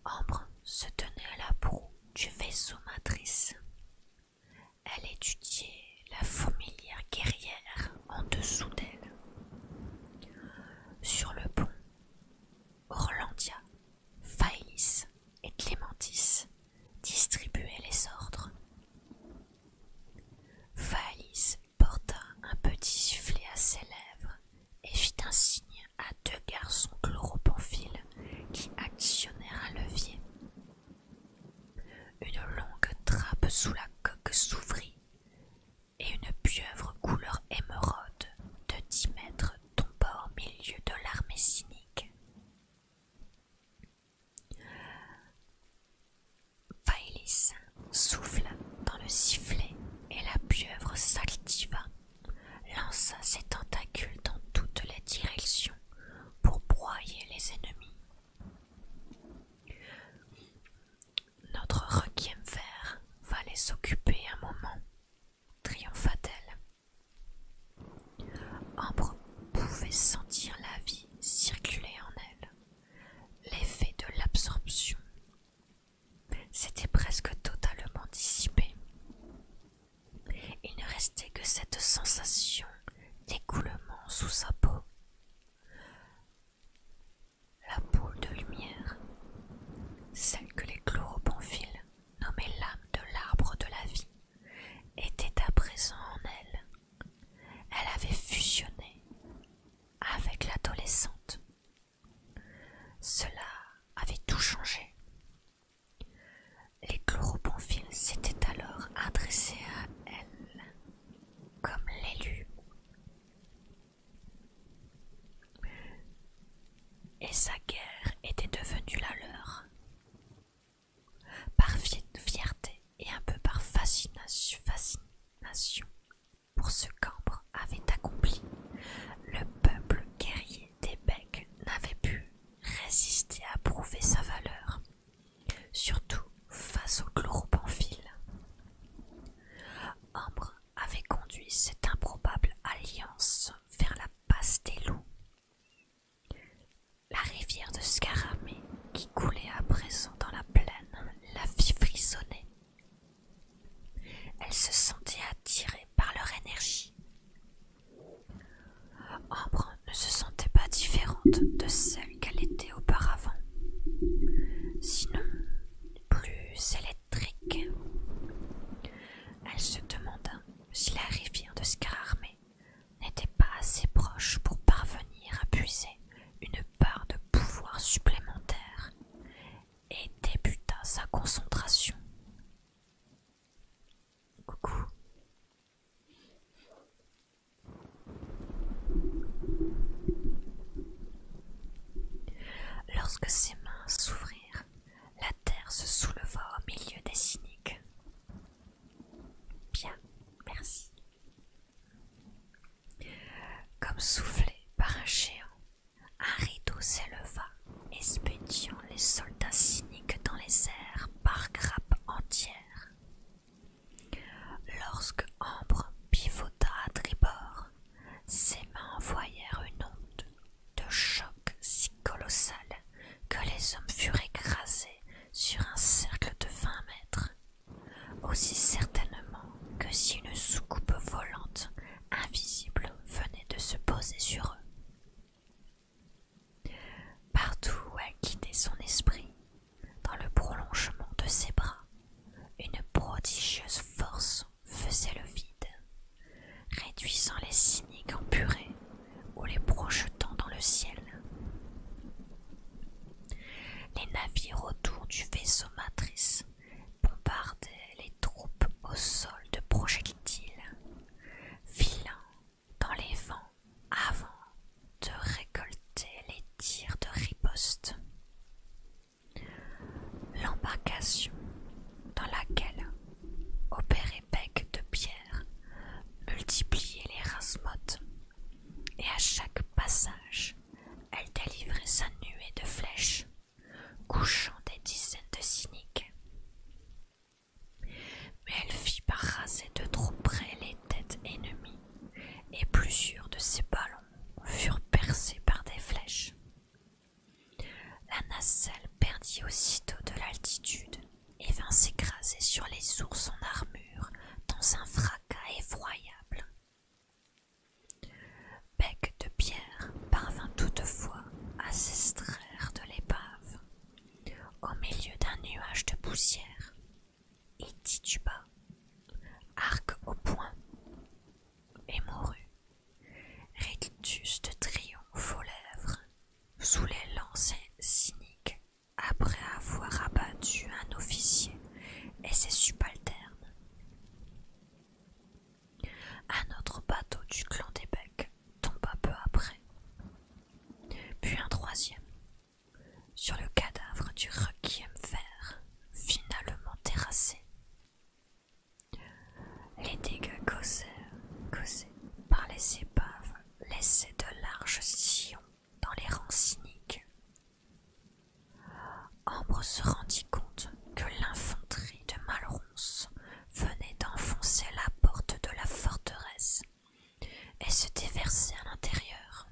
Ambre se tenait à la proue du vaisseau matrice. Elle étudiait la fourmilière guerrière en dessous d'elle. Sur le pont, Orlandia, Faïs et Clémentis distribuaient les ordres. Valis porta un petit sifflet à ses lèvres et fit un signe à deux garçons chloropamphiles qui actionnèrent un levier. Une longue trappe sous la coque s'ouvrit et une pieuvre couleur émeraude de dix mètres tomba au milieu de l'armée cynique. Faëlis souffle dans le sifflet et la pieuvre s'altiva, lança ses tentacules dans toutes les directions pour broyer les ennemis. Notre requiem vert va les occuper un moment, triompha-t-elle. Ambre pouvait sentir la vie circuler en elle. L'effet de l'absorption s'était presque totalement dissipé. Il ne restait que cette sensation d'écoulement sous sa peau. La boule de lumière, celle que les chloropomphiles nommaient l'âme de l'arbre de la vie, était à présent en elle. Elle avait fusionné avec l'adolescente. Cela avait tout changé. Les chloroponfiles s'étaient alors adressés à elle comme l'élu. Et sa guerre était devenue la leur. Par fierté, et un peu par fascination, pour ce qu'Ambre avait accompli, le peuple guerrier des Becs n'avait pu résister à prouver sa valeur, surtout face au chloropamphile. Ambre avait conduit cette improbable alliance vers la passe des loups. La rivière de Scaramée, qui coulait à présent dans la plaine, la vie frissonner. Elle se sentait attirée par leur énergie. Ambre ne se sentait pas différente de celle qu'elle était auparavant, sinon plus électrique. Elle se demanda si la rivière de Scararmée n'était pas assez proche pour parvenir à puiser une part de pouvoir supplémentaire et débuta sa concentration. Coucou. Lorsque ses mains s'ouvrirent, la terre se souleva au milieu des cyniques. Bien, merci. Comme soufflé par un géant, un rideau s'éleva, expédiant les soldats cyniques dans les airs par grappes entières. Lorsque Ambre pivota à tribord, ses mains envoyèrent une onde de choc si colossale que les hommes furent écrasés sur un cercle de vingt mètres aussi certainement que si une soucoupe volante invisible venait de se poser sur eux. Partout où elle guidait son esprit, dans le prolongement de ses bras, une prodigieuse force faisait le vide, réduisant les cyniques en purée ou les projetant dans le ciel. Les navires autour du vaisseau matrice bombardaient les troupes au sol de projectiles, filant dans les vents avant de récolter les tirs de riposte. L'embarcation dans laquelle opérait Bec de Pierre multipliait les rasmodes et à chaque passage, elle délivrait sa nuée de flèches, couchant des dizaines de cyniques. Mais elle fit par de trop près les têtes ennemies, et plusieurs de ses ballons furent percés par des flèches. La nacelle perdit aussitôt de l'altitude et vint s'écraser sur les ours en armure dans un fracas effroyable. Bec de Pierre parvint toutefois à s'extraire de l'épave. Au milieu d'un nuage de poussière, et tituba, arc au poing, et mourut. Rictus de triomphe aux lèvres, sous les lancers cyniques, après avoir abattu un officier et ses subalternes. Un autre bateau du clan des Becs tomba peu après, puis un troisième, sur le cadavre du requiem vert, finalement terrassé. Les dégâts causés, causés par les épaves laissaient de larges sillons dans les rangs cyniques. Ambre se rendit compte que l'infanterie de Malronce venait d'enfoncer la porte de la forteresse et se déversait à l'intérieur.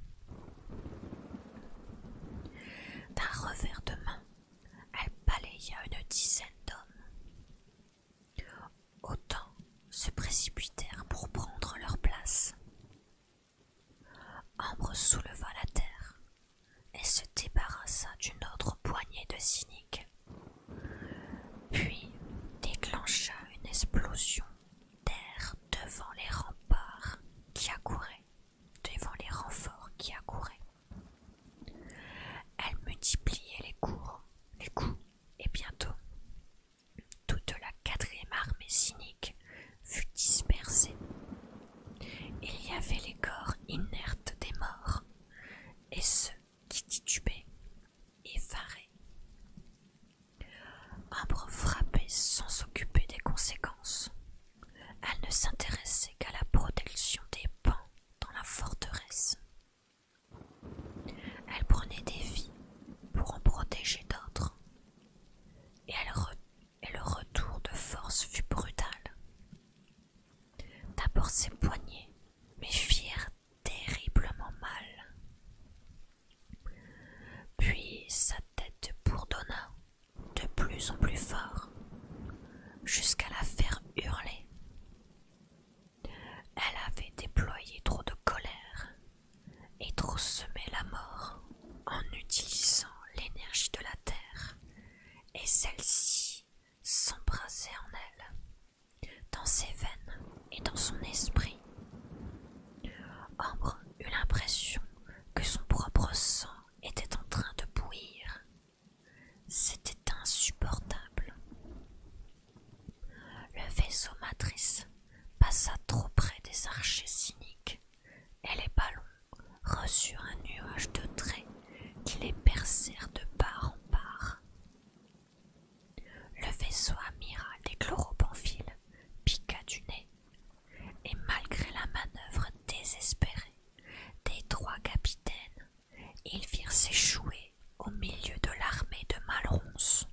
D'un revers de main, elle balaya une dizaine d'hommes. Autant se précipitèrent pour prendre leur place. Ambre souleva la terre et se débarrassa d'une autre poignée de cyniques, puis déclencha une explosion d'air devant les remparts qui accouraient, devant les renforts qui accouraient. Elle multipliait les cours, les coups, et bientôt toute la quatrième armée cynique fut dispersée. Il y avait les corps inertes des morts et ceux qui titubaient, effarés. Ambre frappait sans s'occuper des conséquences. Elle ne s'intéressait qu'à la protection des pans dans la forteresse. Elle prenait des vies pour en protéger d'autres, et elle, re et le retour de force fut brutal. D'abord ses poignets me firent terriblement mal. Puis sa tête bourdonna de plus en plus fort, jusqu'à la faire hurler. Elle avait déployé trop de colère et trop semer la mort en utilisant l'énergie de la terre et celle-ci s'embrasser en elle, dans ses veines et dans son esprit. Ombre eut l'impression que son propre sang était en train de bouillir. C'était insupportable. Le vaisseau matrice passa trop près des archers cyniques et les ballons reçurent un nuage de traits qui les percèrent de part en part. Le vaisseau amiral des chloropamphiles piqua du nez, et malgré la manœuvre désespérée des trois capitaines, ils firent s'échouer au milieu de l'armée de Malronce,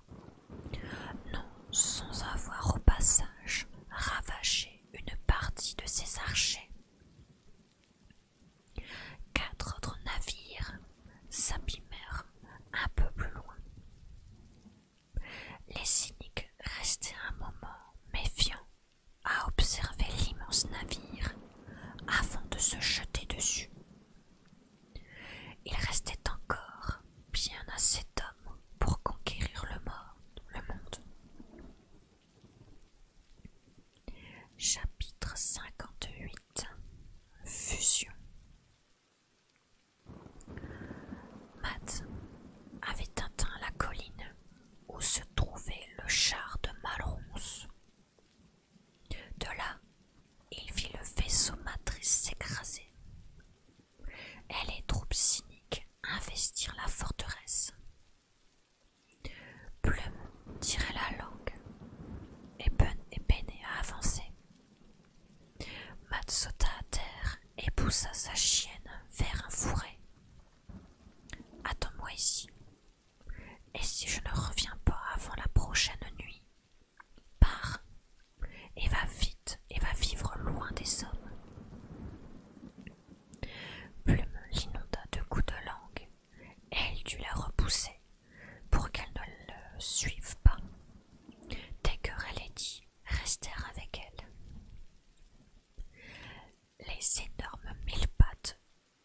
non sans avoir au passage ravagé une partie de ses archers. Quatre autres navires s'abîmèrent un peu plus loin. Les cyniques restaient un moment méfiants à observer l'immense navire avant de se jeter dessus. Il restait encore bien assez d'hommes pour conquérir le, monde. Chapitre 58 Fusion Matt avait atteint la colline où se trouvait le char de Malronce. De là, il vit le vaisseau matrice s'écraser et les troupes cyniques investirent la forteresse. Plume tirait la langue, et Ben et peinait à avancer. Matt sauta à terre et poussa sa chienne vers un fourré. Attends-moi ici, et si je ne reviens pas avant la prochaine nuit, pars et va vite et va vivre loin des hommes. Plume l'inonda de coups de langue, et elle dut la repousser pour qu'elle ne le suive pas. dès et Lady restèrent avec elle. Les énormes mille pattes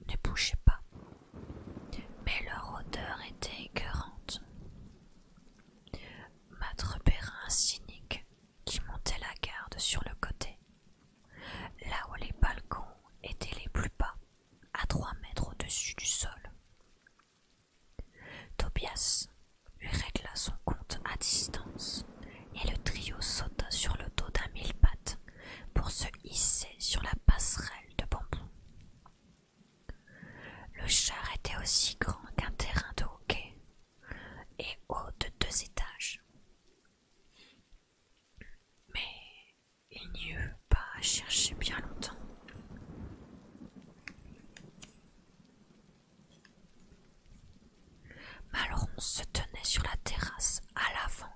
ne bougeaient pas, mais leur odeur était écœurante. Matre Perrin, cynique, qui montait la garde sur le côté, là où les balcons étaient les plus bas, à trois mètres au-dessus du sol. Tobias lui régla son compte à distance, et le trio sauta sur le dos d'un mille pattes pour se hisser sur la passerelle de bambou. Le char était aussi grand qu'un terrain de hockey, et haut de deux étages. Mais il n'y eut pas à chercher bien longtemps. Malron se tenait sur la terrasse à l'avant,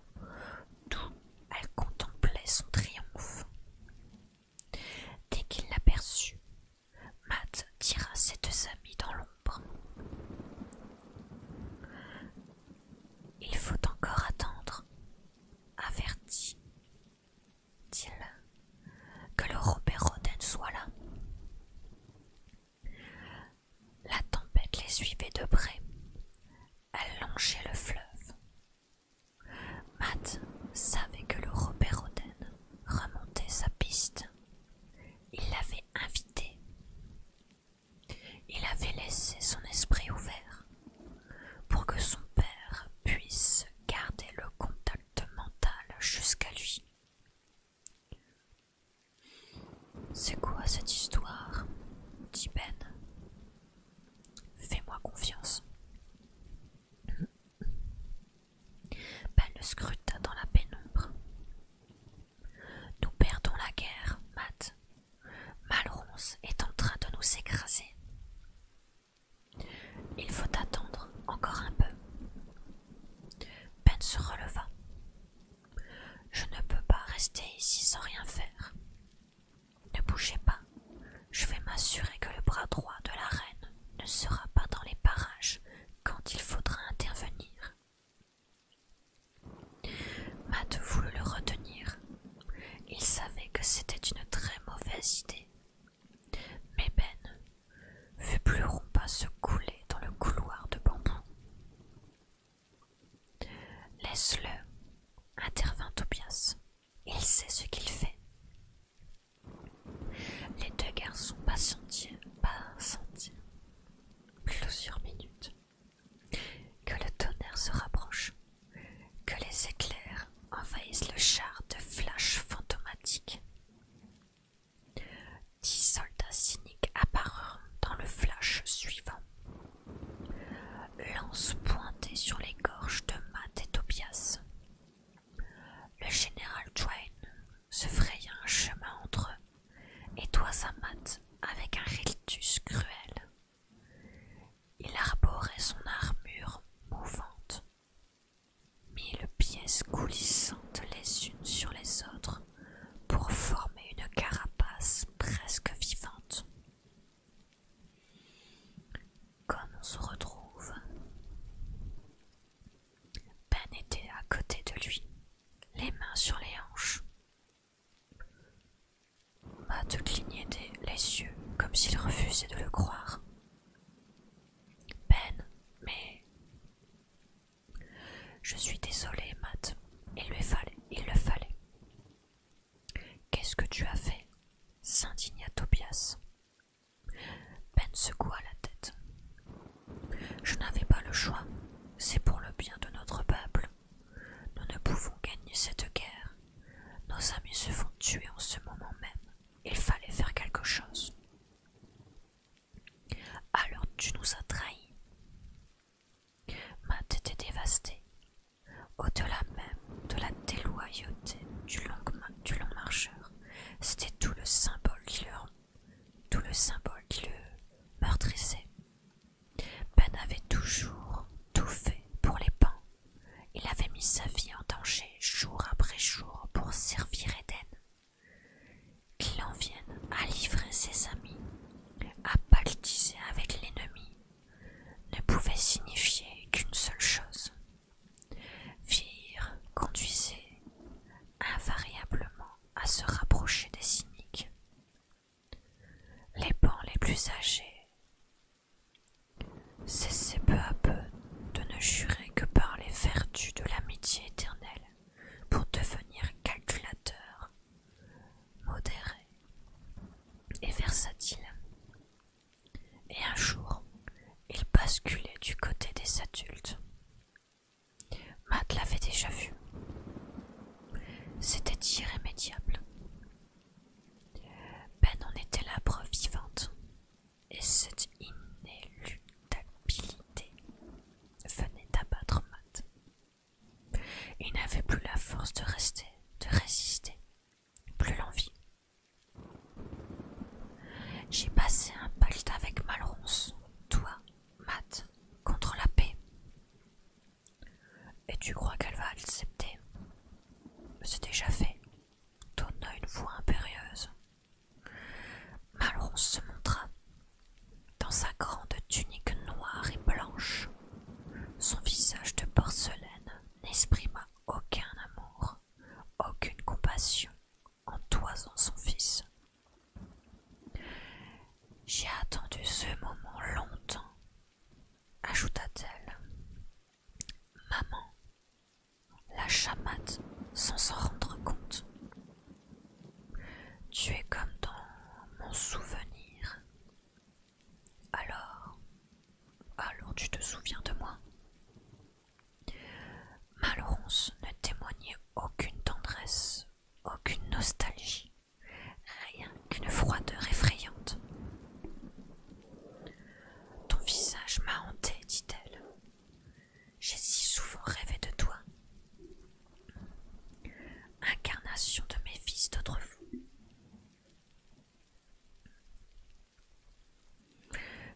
d'où elle contemplait son triomphe. Dès qu'il l'aperçut, Matt tira ses deux amis dans l'ombre. Il faut encore attendre, avertit, dit-il, que le Robert Roden soit là. La tempête les suivait de près. Elle longeait le fleuve. Matt savait que le Robert Roden remontait sa piste il l'avait invité. Il avait laissé son esprit ouvert pour que son père puisse garder le contact mental jusqu'à lui. C'est quoi cette histoire dit Ben. Fais-moi confiance. Ben le scruta dans la pénombre. Nous perdons la guerre, Matt. Malronce est en train de nous écraser. Il faut attendre encore un peu. Ben se releva. Je ne peux pas rester ici sans rien faire. Ne bougez pas. Je vais m'assurer que le bras droit de la reine ne sera pas dans les parages quand il faudra intervenir. Matt voulut le retenir. Il savait que c'était une très mauvaise idée. Mais Ben rond pas se couler dans le couloir de bambou. Laisse-le, intervint Tobias. Il sait ce qu'il fait. Les deux garçons pas Plusieurs minutes. Que le tonnerre se rapproche, que les éclairs envahissent le char de flash fantomatique. Dix soldats cyniques apparurent dans le flash suivant. Lance pointée sur les gorges de Matt et Tobias. Le général Twain se fraya un chemin entre eux et toi sa avec un rictus cruel. Il arborait son armure mouvante, mille pièces coulissantes les unes sur les autres pour former une carapace presque vivante. Comme on se retrouve ben était à côté de lui, les mains sur les hanches. Matt clignait les yeux comme s'il refusait de le croire. Ben, mais. Je suis désolé, Matt. Il lui fallait, il le fallait. Qu'est-ce que tu as fait s'indigna Tobias. Ben secoua la tête. Je n'avais pas le choix. C'est pour le bien de notre peuple. Nous ne pouvons gagner cette guerre. Nos amis se font tuer en ce moment même. Il fallait faire quelque chose. Alors tu nous as trahis. Ma tête était dévastée. Au-delà même de la déloyauté du long, marcheur, c'était tout le symbole qui leur tout le symbole qui le meurtrissait. Ben avait toujours tout fait pour les pans Il avait mis sa vie en danger jour après jour pour servir Eden. Qu'il en vienne à livrer ses amis, à baltiser avec l'ennemi, ne pouvait signifier qu'une seule chose. Vire conduisait invariablement à se rapprocher des cyniques. Les bancs les plus âgés cessaient peu à peu de ne jurer que par les vertus de l'amitié éternelle pour devenir calculateurs, modérés et versatiles. Et un jour, ils basculaient du côté des adultes, Matt l'avait déjà vu. C'était irrémédiable. Ben en était la preuve vivante, et cette inéluctabilité venait d'abattre Matt. Il n'avait plus la force de rester, de résister, plus l'envie. J'ai passé un pacte avec Malronce, toi Matt, contre la paix. Et tu crois qu'elle va accepter C'est déjà fait, Tonna une voix impérieuse. Malron se montra dans sa grande tunique noire et blanche. Son visage de porcelaine n'exprima aucun amour, aucune compassion en toisant son fils j'ai attendu ce moment longtemps, ajouta-t-elle. Maman, la chamate sans s'en rendre compte. Tu es comme dans mon souvenir. Alors, alors tu te souviens de moi Malorance ne témoignait aucune tendresse aucune nostalgie, rien qu'une froideur effrayante. Ton visage m'a hantée, dit-elle. J'ai si souvent rêvé de toi. Incarnation de mes fils d'autrefois.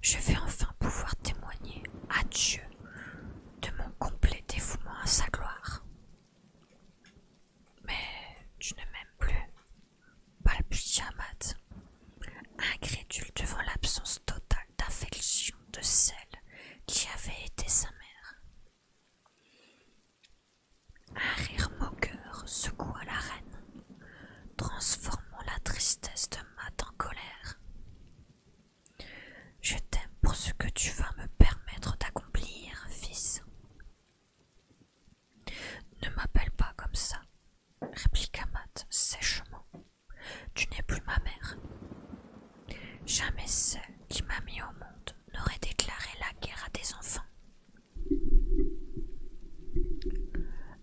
Je vais enfin pouvoir témoigner à Dieu de mon complet dévouement à sa gloire. Mais tu ne m'aimes plus, balbutia Matt, incrédule devant l'absence totale d'affection de celle qui avait été sa mère. Un rire moqueur secoua la reine, transformant la tristesse de Matt en colère. Je t'aime pour ce que tu vas me permettre d'accomplir, fils. Ne m'appelle pas comme ça, répliqua Matt sèchement. Tu n'es plus ma mère. Jamais celle qui m'a mis au monde n'aurait déclaré la guerre à des enfants.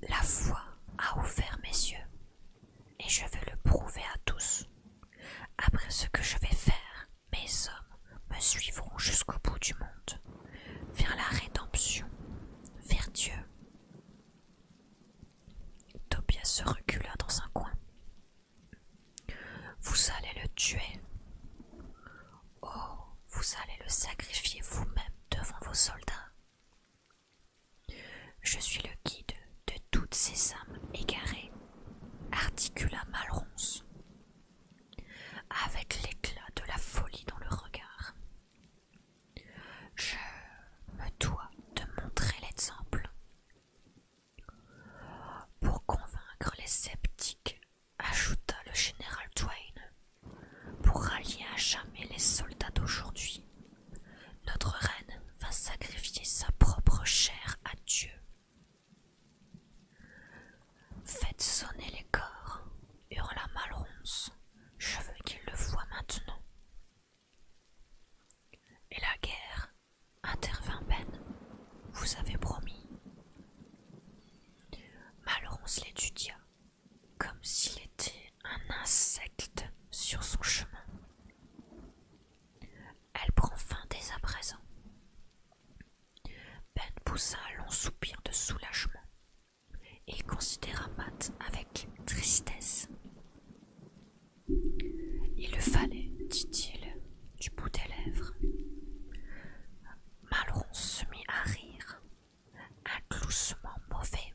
La foi a ouvert mes yeux et je vais le prouver à tous. Après ce que je vais faire, mes hommes me suivront jusqu'au bout du monde, vers la rédemption, vers Dieu. Tobias se recula dans un coin. Vous allez le tuer. Oh, vous allez le sacrifier vous-même devant vos soldats. Je suis le guide de toutes ces âmes égarées articula Malronce, avec l'éclat de la folie dans le regard. Je me dois de montrer l'exemple. Pour convaincre les sceptiques, ajouta le général Twain, pour rallier à jamais les soldats d'aujourd'hui, notre reine va sacrifier sa propre chair à Dieu Faites sonner les corps, hurla Malronce. Je veux qu'il le voie maintenant. Et la guerre, intervint Ben, vous avez promis. Malronce l'étudia, comme s'il était un insecte sur son chemin. Elle prend fin dès à présent. Ben poussa un long soupir de soulagement et considéra Matt avec tristesse. Il le fallait, dit-il, du bout des lèvres. Malron se mit à rire, un gloussement mauvais.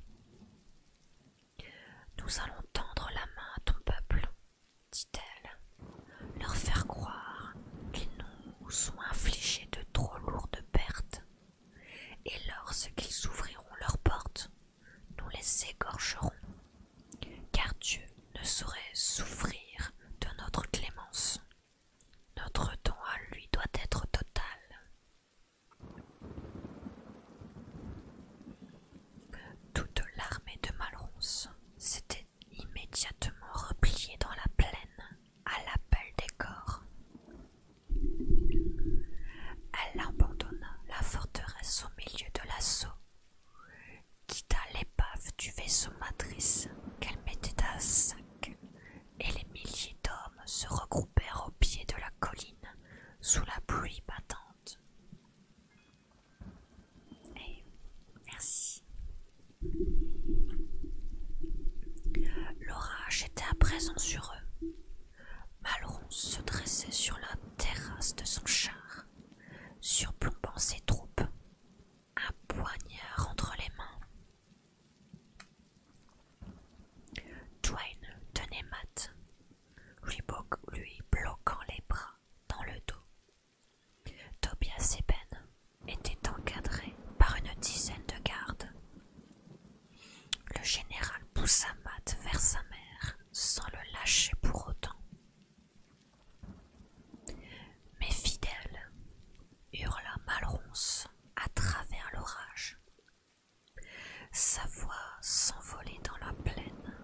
Nous allons tendre la main à ton peuple, dit-elle, leur faire croire qu'ils nous ont infligés de trop lourdes pertes, et lorsqu'ils ouvriront leurs portes, nous les égorgerons, car Dieu ne saurait souffrir de notre clémence. Notre don à lui doit être total. Toute l'armée de Malronce s'était immédiatement repliée dans la plaine à l'appel des corps. Elle abandonna la forteresse au milieu de l'assaut, quitta l'épave du vaisseau matrice qu'elle mettait à sac, et les milliers d'hommes se regroupèrent au pied de la colline sous la pluie battante merci. L'orage était à présent sur eux. Malron se dressait sur la terrasse de son char, surplombant ses troupes, un poignard entre les mains. Twain tenait Matt, lui bloquant les bras dans le dos Tobias Eben était encadré par une dizaine de gardes. Le général poussa Matt vers sa mère sans le lâcher pour autant. Mais fidèle, hurla Malronce à travers l'orage. Sa voix s'envolait dans la plaine,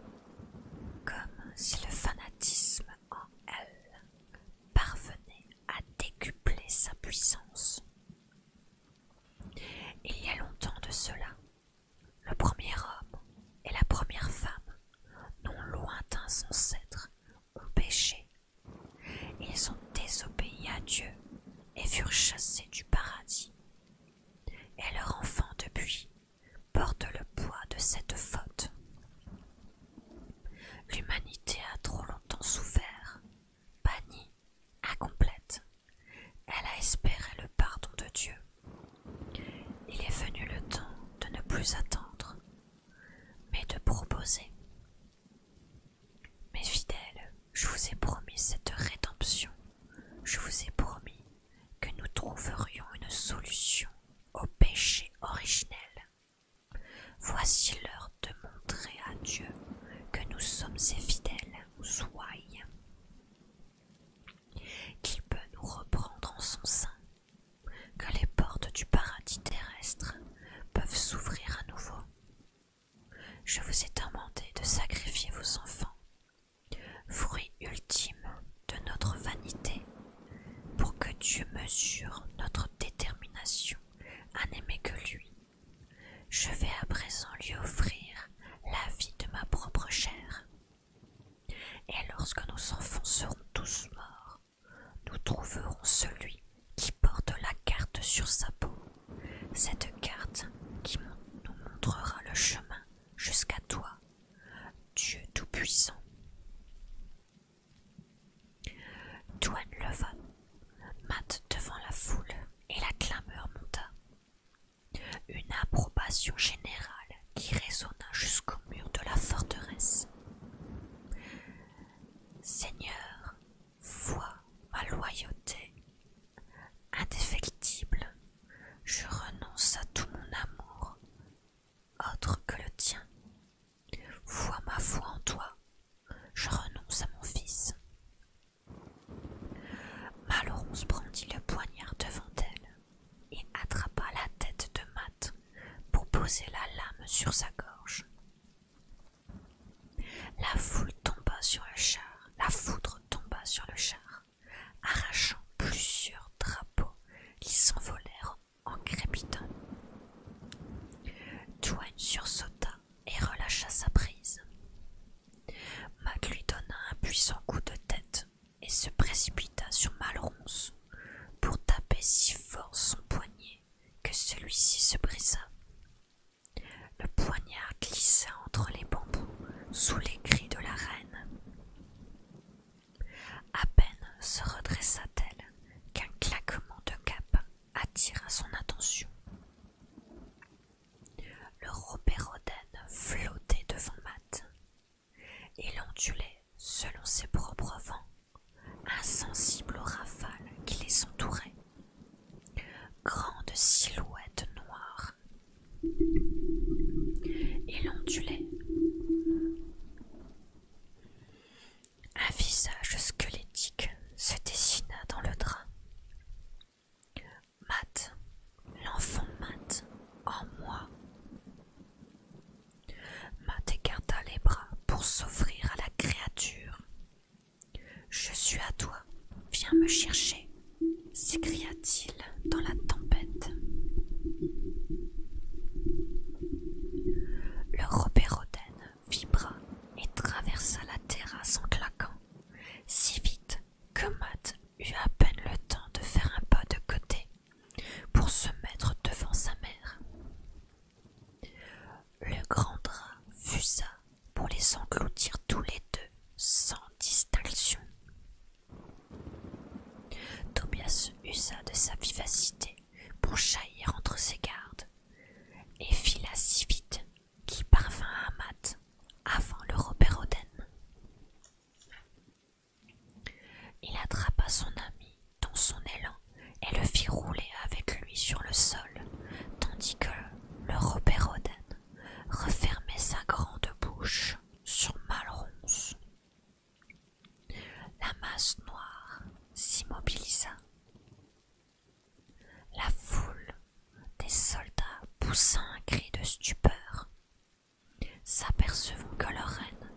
comme si le fanatisme en elle parvenait à décupler sa puissance. Il y a longtemps de cela, le premier homme et la première femme, non lointains ancêtres, ont péché. Ils ont désobéi à Dieu et furent chassés du paradis. Et leur enfant depuis porte le poids de cette faute. L'humanité a trop longtemps souffert, bannie, incomplète. Elle a espéré le pardon de Dieu. Il est venu le temps de ne plus attendre, mais de proposer. Mes fidèles, je vous ai promis cette rédemption, je vous ai promis que nous trouverions une solution au péché originel. Voici l'heure de montrer à Dieu que nous sommes ses fidèles, ou ouailles, qui peut nous reprendre en son sein, que les portes du paradis terrestre peuvent s'ouvrir à nouveau. Je vous ai demandé de sacrifier vos enfants, fruit ultime de notre vanité pour que Dieu mesure notre détermination à n'aimer que lui. Je vais à présent lui offrir la vie de ma propre chair. Et lorsque nous seront tous morts, nous trouverons celui qui porte la carte sur sa peau, cette carte qui nous montrera le chemin jusqu'à toi Dieu Tout-Puissant. Douane leva, mat devant la foule, et la clameur monta. Une approbation générale qui résonna jusqu'au mur de la forteresse. Seigneur, vois ma loyauté indéfectible, je renonce à tout mon amour, autre que le tien. Vois ma foi en toi, je renonce à mon fils. Malorance brandit le poignard devant elle et attrapa la tête de Matt pour poser la lame sur sa gorge. La foule tomba sur le char, la foudre tomba sur le char, arrachant plusieurs drapeaux qui s'envolèrent en crépitant. Dwayne sursauta et relâcha sa prise. Mac lui donna un puissant coup de tête et se précipita sur Malronce pour taper si fort son poignet que celui-ci se brisa. Le poignard glissa entre les bambous sous les cris de la reine. À peine se redressa-t-elle qu'un claquement de cap attira son attention. Le robert flottait devant Matt. Il ondulait, selon ses propres vents, insensible aux rafales qui les entouraient. Grande silhouette noire. Il ondulait, un visage squelettique se dessina dans le drap. Matt, l'enfant Matt, en moi. Matt écarta les bras pour s'offrir à la créature. Je suis à toi, viens me chercher, s'écria-t-il dans la tempête. Le Robert Roden vibra et traversa la terrasse en claquant, si vite que Matt eut à peine le temps de faire un pas de côté pour se mettre devant sa mère. Le grand drap fusa pour les engloutir tous les deux sans distinction. Tobias usa de sa vivacité pour jaillir entre ses gardes, et fila si vite qu'il parvint à mat avant le Robert Il attrapa son ami dans son élan et le fit rouler avec lui sur le sol, tandis que le Robert refermait sa grande bouche sur Malronce. La masse noire s'immobilisa. La foule des soldats poussa un cri de stupeur, s'apercevant que leur reine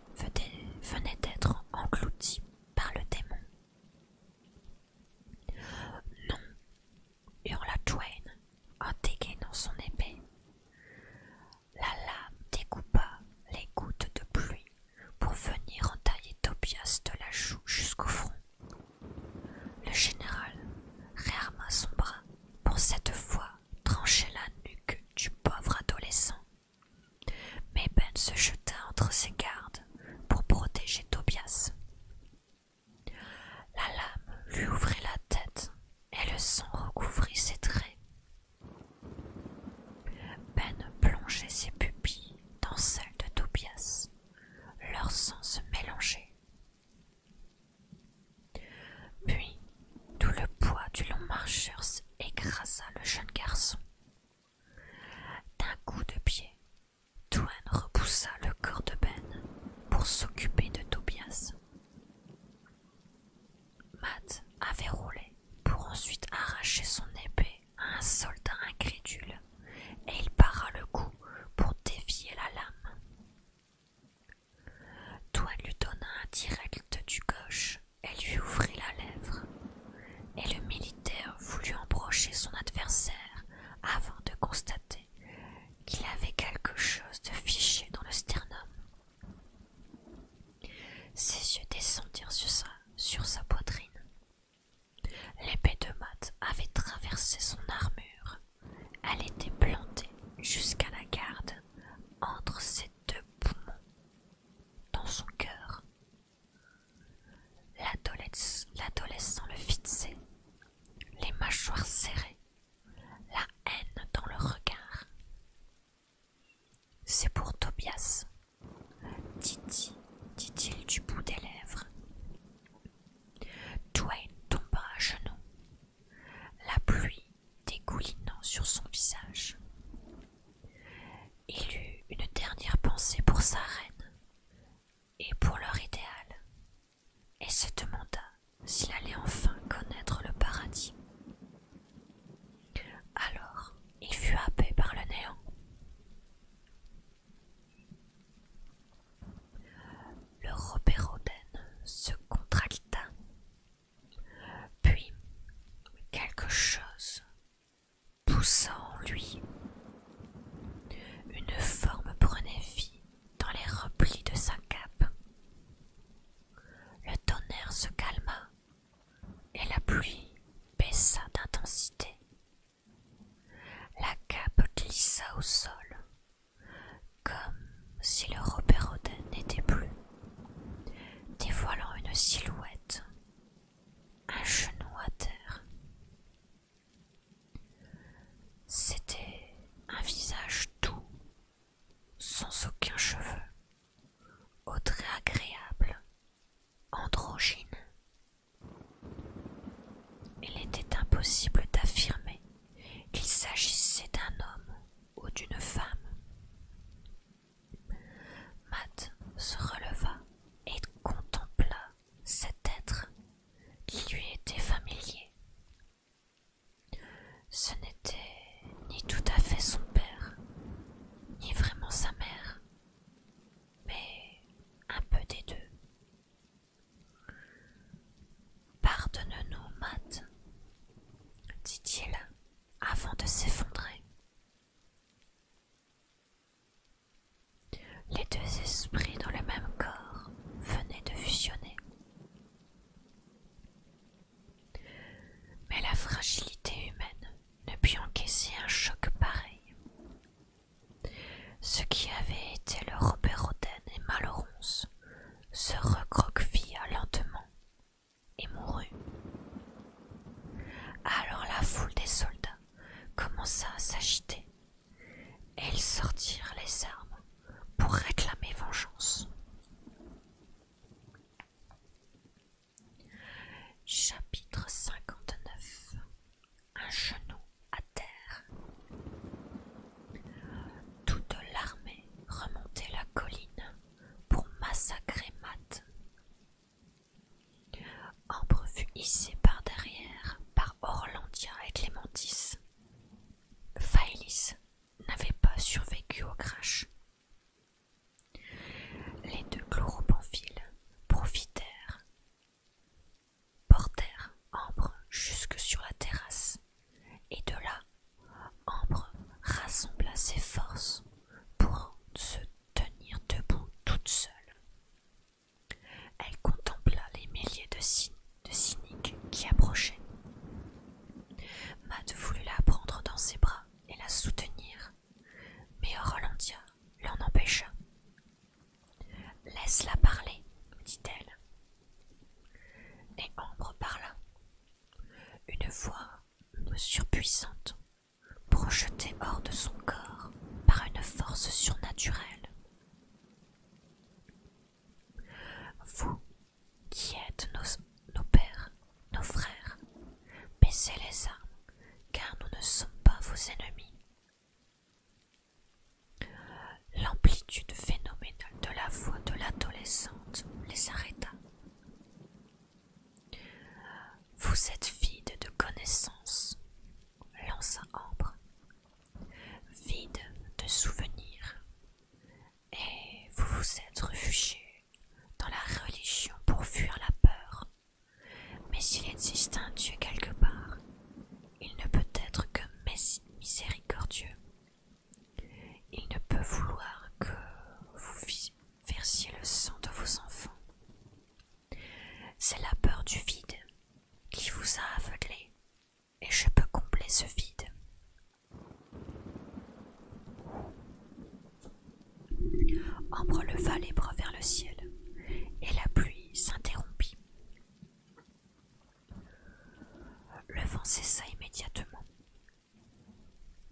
venait d'être engloutie par le démon. Non, hurla Twain en dans son épée la lame découpa les gouttes de pluie pour venir entailler Tobias de la joue jusqu'au front. Le général réarma son bras pour cette fois trancher la nuque du pauvre adolescent. Mais Ben se jeta entre ses gardes pour protéger Tobias. La lame lui ouvrit la tête et le sang recouvrit ses traits. Ben plongeait ses pupilles dans celles de Tobias, leur sang se mélangeait. Puis tout le poids du long marcheur écrasa le jeune garçon. D'un coup de pied, Toine repoussa le corps de Ben pour s'occuper de Tobias. Matt avait roulé pour ensuite arracher son épée à un soldat incrédule et il para le coup pour dévier la lame. Toi lui donna un direct du gauche et lui ouvrit la lèvre, et le militaire voulut embrocher son adversaire avant de constater qu'il avait quelque chose de fiché dans le sternum. Ses yeux descendirent sur sa, poitrine. L'épée de Matt avait traversé son armure. Elle était plantée jusqu'à la garde entre ses deux poumons, dans son cœur. L'adolescent le fixait, les mâchoires serrées, la haine dans le regard. C'est pour Tobias, Titi, dit-il du bout des lèvres. Twain tomba à genoux, la pluie dégoulinant sur son visage. Il eut une dernière pensée pour sa reine et pour leur idéal, et se demanda s'il allait enfin connaître le paradis. Alors il fut happé par le néant. Le robérodène se contracta. Puis quelque chose poussa en lui. Une forme prenait vie dans les replis de sa cape. Le tonnerre se calma et la pluie baissa d'intensité. La cape glissa au sol, comme si le Robert n'était plus, dévoilant une silhouette, un genou à terre. C'était un visage doux, sans aucun cheveu, autre agréable, androgyne. Il était impossible d'affirmer qu'il s'agissait d'un homme ou d'une femme. Matt se releva et contempla cet être qui lui était familier. Ce n'était ni tout à fait son père, ni vraiment sa mère, mais un peu des deux. Pardonne-nous, Matt, dit-il avant de s'effondrer. Les deux esprits dans le même corps venaient de fusionner. Mais la fragilité humaine ne put encaisser un choc pareil. Ce qui avait été le Robert et Malorons se recroquevilla lentement et mourut. Alors la foule des soldats commença à s'agiter et ils sortirent les armes pour réclamer vengeance. Chapitre 59 Un genou à terre Toute l'armée remontait la colline pour massacrer Matt. Ambre fut hissée par derrière par Orlandia et Clémentis. Phaelis n'avait pas survécu au crash. Les deux chloropamphiles profitèrent, portèrent Ambre jusque sur la terrasse, et de là, Ambre rassembla ses forces pour se tenir debout toute seule. Elle contempla les milliers de, de cyniques qui approchaient. Matt voulut la prendre dans ses bras et la soutenir, mais Rolandia l'en empêcha. Laisse-la parler, dit-elle. Et Ambre parla. Une voix surpuissante, projetée hors de son corps par une force surnaturelle. Vous, qui êtes nos pères, nos frères, baissez les armes, car nous ne sommes pas vos ennemis. L'amplitude phénoménale de la voix de l'adolescente les arrêta. Vous êtes vide de connaissances, l'enceint Ambre, vide de souvenirs, et vous vous êtes réfugié dans la religion pour fuir la peur. Mais s'il existe un Dieu quelque part, il ne peut être que miséricordieux. Il ne peut vouloir que vous versiez le sang de vos enfants. C'est la peur du vide qui vous a aveuglé, et je peux combler ce vide. Ambre leva les bras vers le ciel, et la pluie s'interrompit. Le vent cessa immédiatement.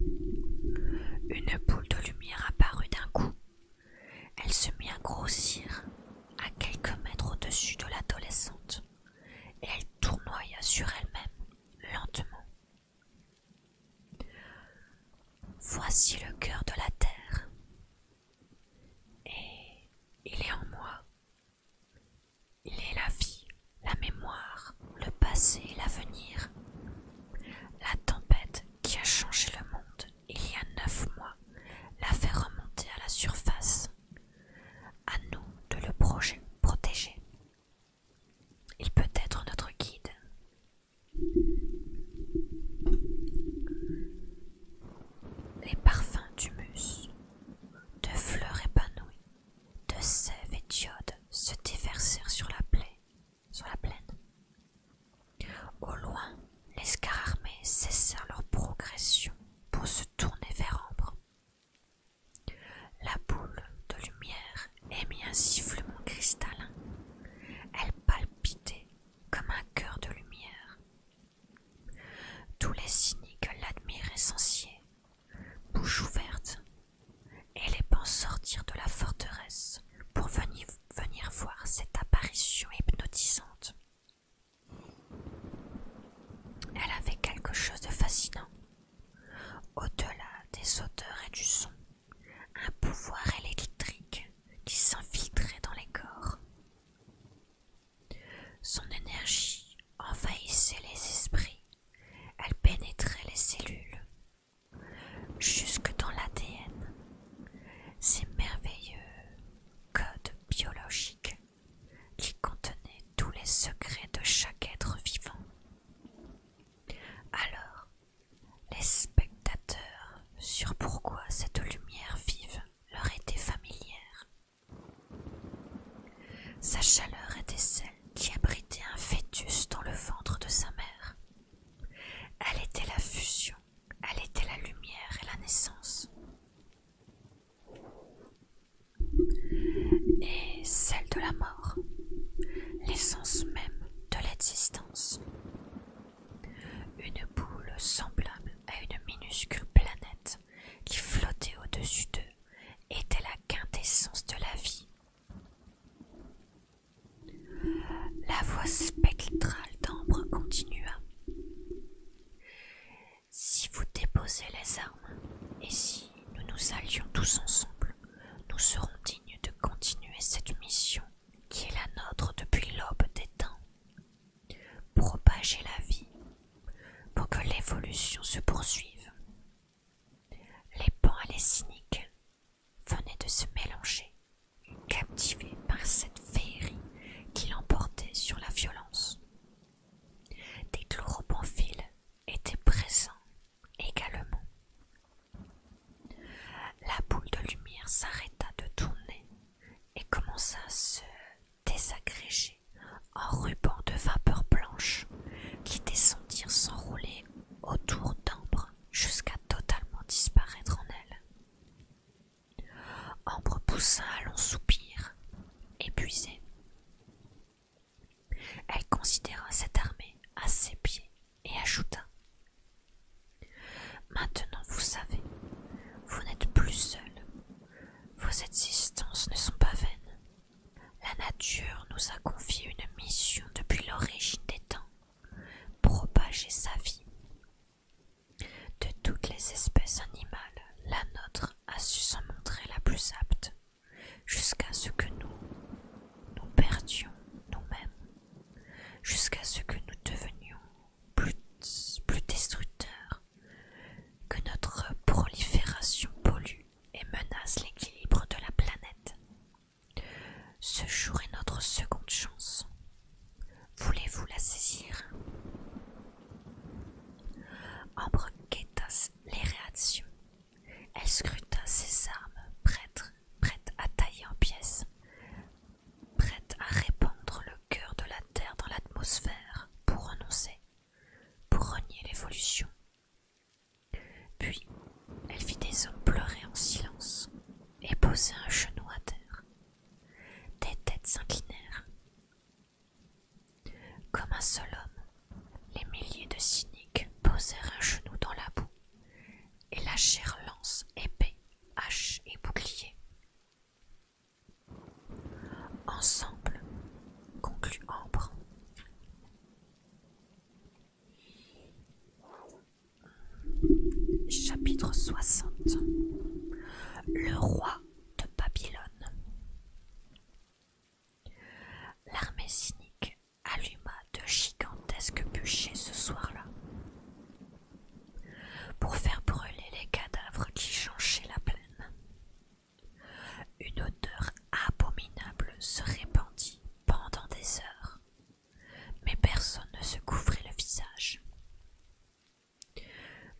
Une boule de lumière apparut d'un coup. Elle se mit à grossir à quelques mètres au-dessus de l'adolescente, et elle tournoya sur elle-même lentement Voici le cœur de la terre, et il est en moi. Il est la vie, la mémoire, le passé et l'avenir. La tempête qui a changé le monde il y a neuf mois l'a fait remonter à la surface. À nous de le protéger. Il peut être notre guide, les parfums d'humus, de fleurs épanouies, de sève et d'iode se déversèrent sur la, plaine. Au loin, les scars cessèrent leur progression pour se tourner vers Ambre. La boule de lumière émit un sifflement cristallin. Elle palpitait comme un cœur de lumière. Tous les cyniques l'admiraient sans bouche ouverte, et les pensent sortir de la forteresse pour venir voir cette apparition hypnotisante. Elle avait quelque chose de fascinant, au-delà des odeurs et du son un pouvoir électrique qui s'infiltrait dans les corps. Son énergie envahissait les esprits, elle pénétrait les cellules, jusque dans l'ADN. Ces merveilleux codes biologiques qui contenaient tous les secrets de chaque être vivant. Alors, les spectateurs sur pourquoi cette lumière vive leur était familière. Sa chaleur était celle qui abritait un fœtus dans le ventre de sa mère. Elle était la fusion, elle était la lumière et la naissance. Et celle de la mort, l'essence même de l'existence. Une boule semblable à une minuscule planète qui flottait au-dessus d'eux était la quintessence de la vie. La voix spectrale d'ambre continua. Si vous déposez les armes, et si nous nous allions tous ensemble, nous serons dignes de continuer cette mission qui est la nôtre depuis l'aube des temps, propager la vie pour que l'évolution se poursuive. Les pans et les cyniques venaient de se mélanger, captivés par cette féerie qui l'emportait sur la violence. Des chloropamphiles étaient présents également, la boule de lumière s'arrêta de tourner et commença à se désagréger en rubans de vapeur blanche qui descendirent s'enrouler autour d'Ambre jusqu'à totalement disparaître en elle. Ambre poussa un long soupir, épuisé. Elle considéra cette armée à ses pieds et ajouta Maintenant vous savez, vous n'êtes plus seul. Vos existences ne sont pas vaines. La nature nous a confié une mission depuis l'origine des temps propager sa vie. De toutes les espèces animales, la nôtre a su s'en montrer la plus apte, jusqu'à ce que nous nous perdions nous-mêmes jusqu'à ce que nous devenions plus, destructeurs, que notre prolifération pollue et menace l'équilibre de la planète. Ce jour est notre seconde chance. Voulez-vous la saisir Ambre guetta les réactions. Elle scruta ses armes prêtes à tailler en pièces, prête à répandre le cœur de la Terre dans l'atmosphère pour renoncer, pour renier l'évolution. Puis elle vit des hommes pleurer en silence et poser un genou à terre. Des têtes s'inclinèrent. Comme un seul homme, les milliers de cyniques posèrent un genou dans la boue et lâchèrent lance épais H et bouclier. Ensemble, conclut Ambre. Chapitre 60 Le roi de Babylone L'armée cynique alluma de gigantesques bûchers ce soir-là pour faire brûler les cadavres qui jonchaient la plaine. Une odeur abominable se répandit pendant des heures, mais personne ne se couvrait le visage.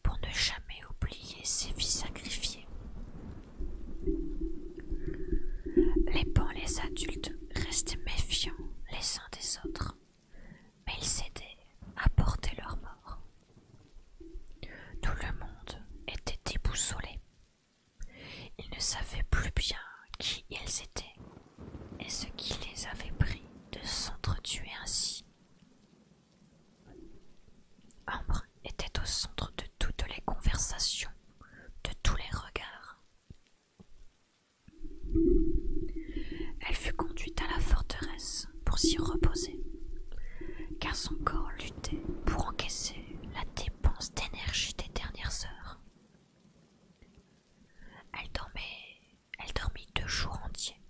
Pour ne jamais oublier ses vies sacrifiées, les pans les adultes restaient méfiants les uns des autres mais ils s'étaient à porter leur mort. Tout le monde était déboussolé. Ils ne savaient plus bien qui ils étaient et ce qui les avait pris de s'entretuer ainsi. Ambre était au centre de toutes les conversations, de tous les regards. Elle fut conduite à la forteresse pour s'y reposer, car son corps luttait pour encaisser la dépense d'énergie des dernières heures. Elle dormait, elle dormit deux jours entiers.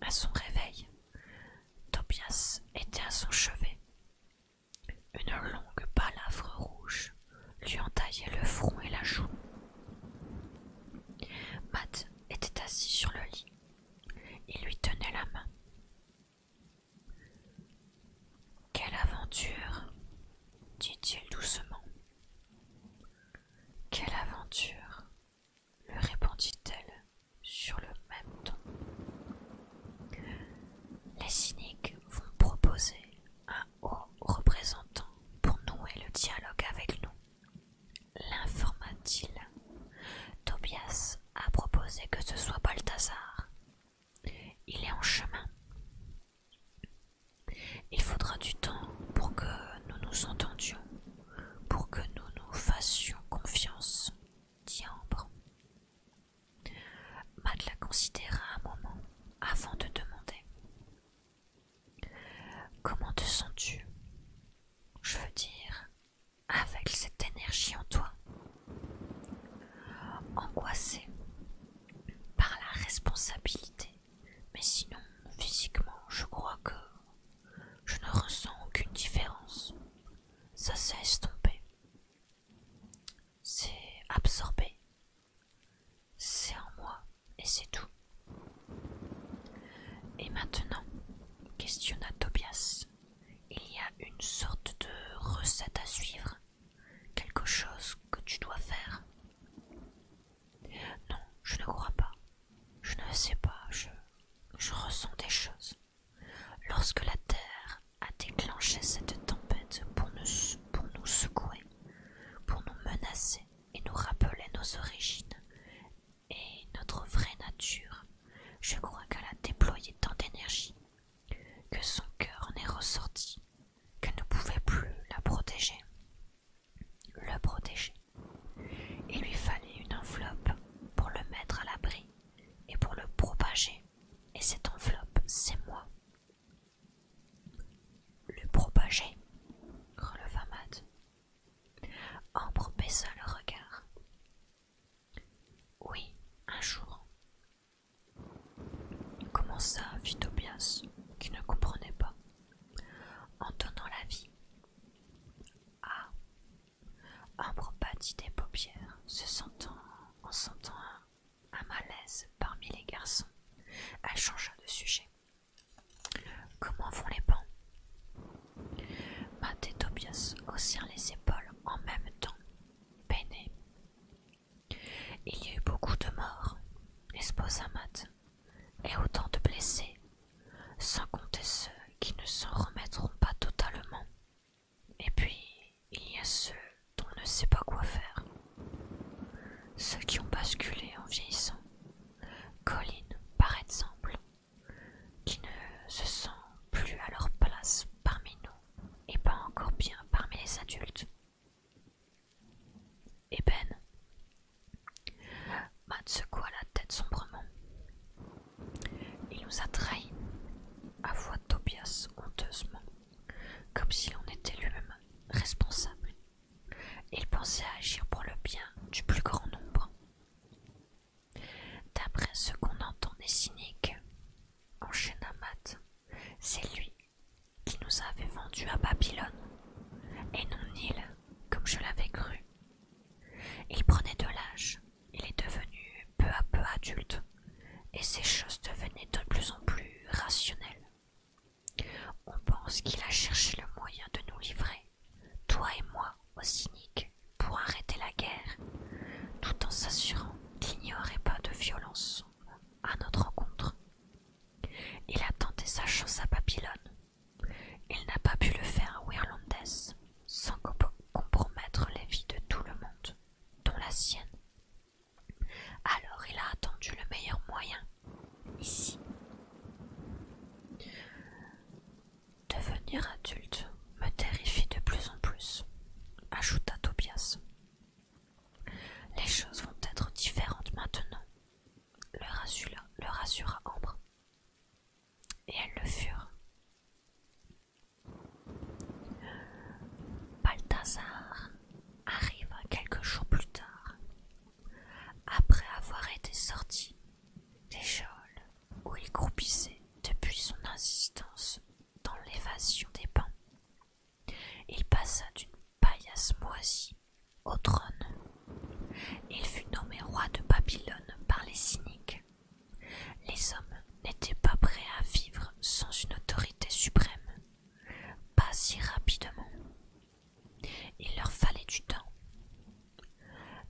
À son réveil, Tobias était à son chevet. Une longue balafre rouge lui entaillait le front et la joue. Matt était assis sur le lit. Il lui tenait la main. Quelle aventure dit-il doucement. Quelle aventure lui répondit-elle sur le même ton. Les cyniques vont proposer un représentant pour nouer le dialogue avec nous. linforma il Tobias a proposé que ce soit Balthazar. Il est en chemin. Il faudra du temps pour que nous nous entendions, pour que nous nous fassions confiance, dit Ambre. considéra un moment avant de demander Comment te sens-tu Je veux dire, avec cette énergie en toi, angoissé par la responsabilité, mais sinon physiquement, je crois que je ne ressens aucune différence. Ça s'est estompé, c'est absorbé c'est en moi et c'est tout. Et maintenant, questionna Tobias, il y a une sorte de recette à suivre, quelque chose que tu dois faire. Non, je ne crois pas. Je ne sais pas, je, ressens des choses. Lorsque la Terre a déclenché cette tempête pour nous secouer, pour nous menacer et nous rappeler nos origines et notre vraie nature. Je crois qu'elle a déployé tant d'énergie que son cœur n'est ressorti, qu'elle ne pouvait plus la protéger, le protéger. Il lui fallait une enveloppe pour le mettre à l'abri et pour le propager. Et cette enveloppe, c'est moi. Le propager, releva Matt. Ambre baissa le regard. Oui, un jour. Comment ça fit Tobias, qui ne comprenait pas. En donnant la vie. Ah Ambre battit des paupières, se sentant en sentant à malaise parmi les garçons. Elle changea de sujet. Comment vont les pans Matt et Tobias haussèrent les épaules en même temps, peinés. Il y a eu beaucoup de morts, à Matt, et autant de blessés, sans compter ceux qui ne s'en remettront pas totalement. Et puis, il y a ceux on ne sait pas quoi faire. Ceux qui ont basculé en vieillissant, Colline par exemple, qui ne se sent plus à leur place parmi nous et pas encore bien parmi les adultes. Et eh Ben Matt secoua la tête sombrement. Il nous a trahis, voix Tobias honteusement, comme si on était lui-même responsable il pensait agir pour le bien du plus grand nombre. D'après ce qu'on entendait cynique cyniques, enchaîna Matt, c'est lui qui nous avait vendus à Babylone, et non il comme je l'avais cru. Il prenait de l'âge, il est devenu peu à peu adulte, et ses choses devenaient de plus en plus rationnelles. On pense qu'il a cherché le moyen de nous livrer, toi et moi, aux cyniques, pour arrêter la guerre, tout en s'assurant qu'il n'y aurait pas de violence à notre rencontre. Il a tenté sa chance à Babylone. Il n'a pas pu le faire à Wirlandes sans compromettre les vies de tout le monde, dont la sienne, alors il a attendu le meilleur moyen, ici. Devenir adulte me terrifie de plus en plus, ajouta Tobias. Les choses vont être différentes maintenant, le rassura, le Ambre. Et elles le furent. Balthazar arriva quelques jours plus tard après avoir été sorti des geôles où il croupissait depuis son insistance dans l'évasion des bancs. il passa d'une paillasse moisie au trône. Il fut nommé roi de Babylone par les cyniques. Les hommes n'étaient pas prêts à vivre sans une autorité suprême, pas si rapidement. Il leur fallait du temps.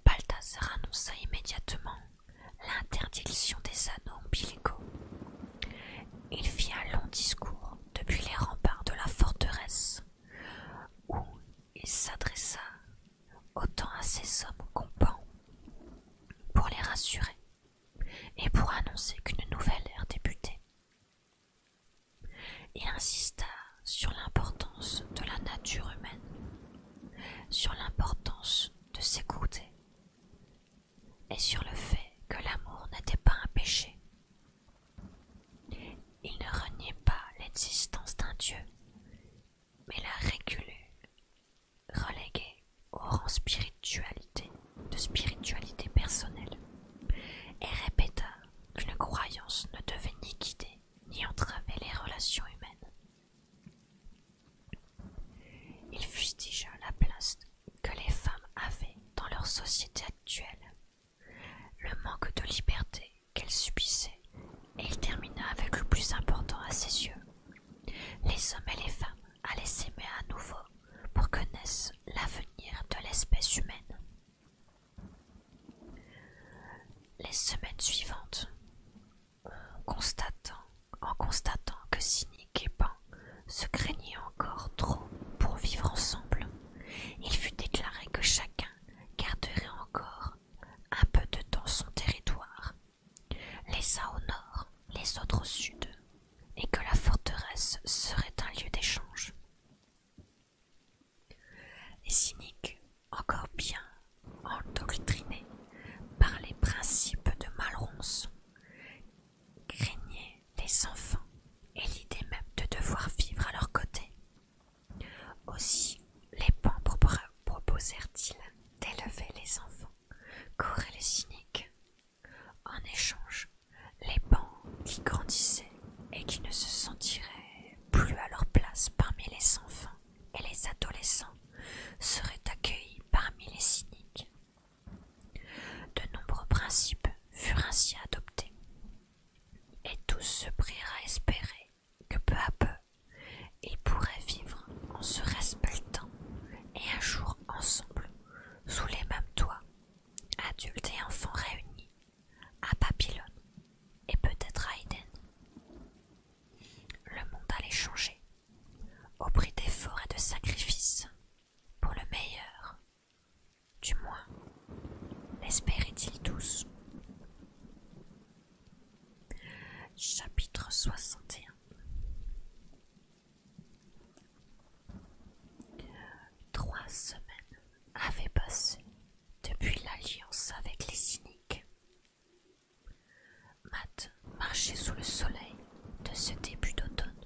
Balthazar annonça immédiatement l'interdiction des anneaux ombilicaux. Il fit un long discours depuis les remparts de la forteresse, où il s'adressa autant à ses hommes pans, pour les rassurer et pour annoncer qu'une nouvelle ère débutait. Il insista sur l'importance de la nature humaine, sur l'importance de s'écouter et sur le fait que l'amour n'était pas un péché. Il ne reniait pas l'existence d'un Dieu, mais la réculait, reléguée au rang spiritualité, de spiritualité personnelle, et répéta qu'une croyance ne devait ni guider ni entraver les relations humaines. Il fustigea la place que les femmes avaient dans leur société actuelle, le manque de liberté qu'elles subissaient, et il termina avec le plus important à ses yeux. Les hommes et les femmes allaient s'aimer à nouveau pour que naisse l'avenir de l'espèce humaine. Les semaines suivantes, en constatant que Cynique et Pan se craignaient encore trop pour vivre ensemble, il fut déclaré que chacun garderait encore un peu de temps son territoire, les uns au nord, les autres au sud, et que la forteresse serait un lieu d'échange. Les cyniques, encore bien endoctrinés par les principes de Malronce, craignaient les enfants et l'idée même de devoir vivre à leur côté. Aussi les pans proposèrent-ils d'élever les enfants qu'auraient les cyniques. En échange, les bancs qui grandissaient et qui ne se sentiraient plus à leur place parmi les enfants et les adolescents seraient accueillis parmi les cyniques. De nombreux principes furent ainsi adoptés, et tous se prirent à espérer que peu à peu ils pourraient vivre en se respectant et un jour ensemble sous les mêmes toits, adultes et enfants réunis à Babylone et peut-être à Éden. Le monde allait changer, au prix d'efforts et de sacrifices, pour le meilleur. Du moins, l'espéraient-ils tous. Chapitre 61 Trois semaines avait passé depuis l'alliance avec les cyniques. Matt marchait sous le soleil de ce début d'automne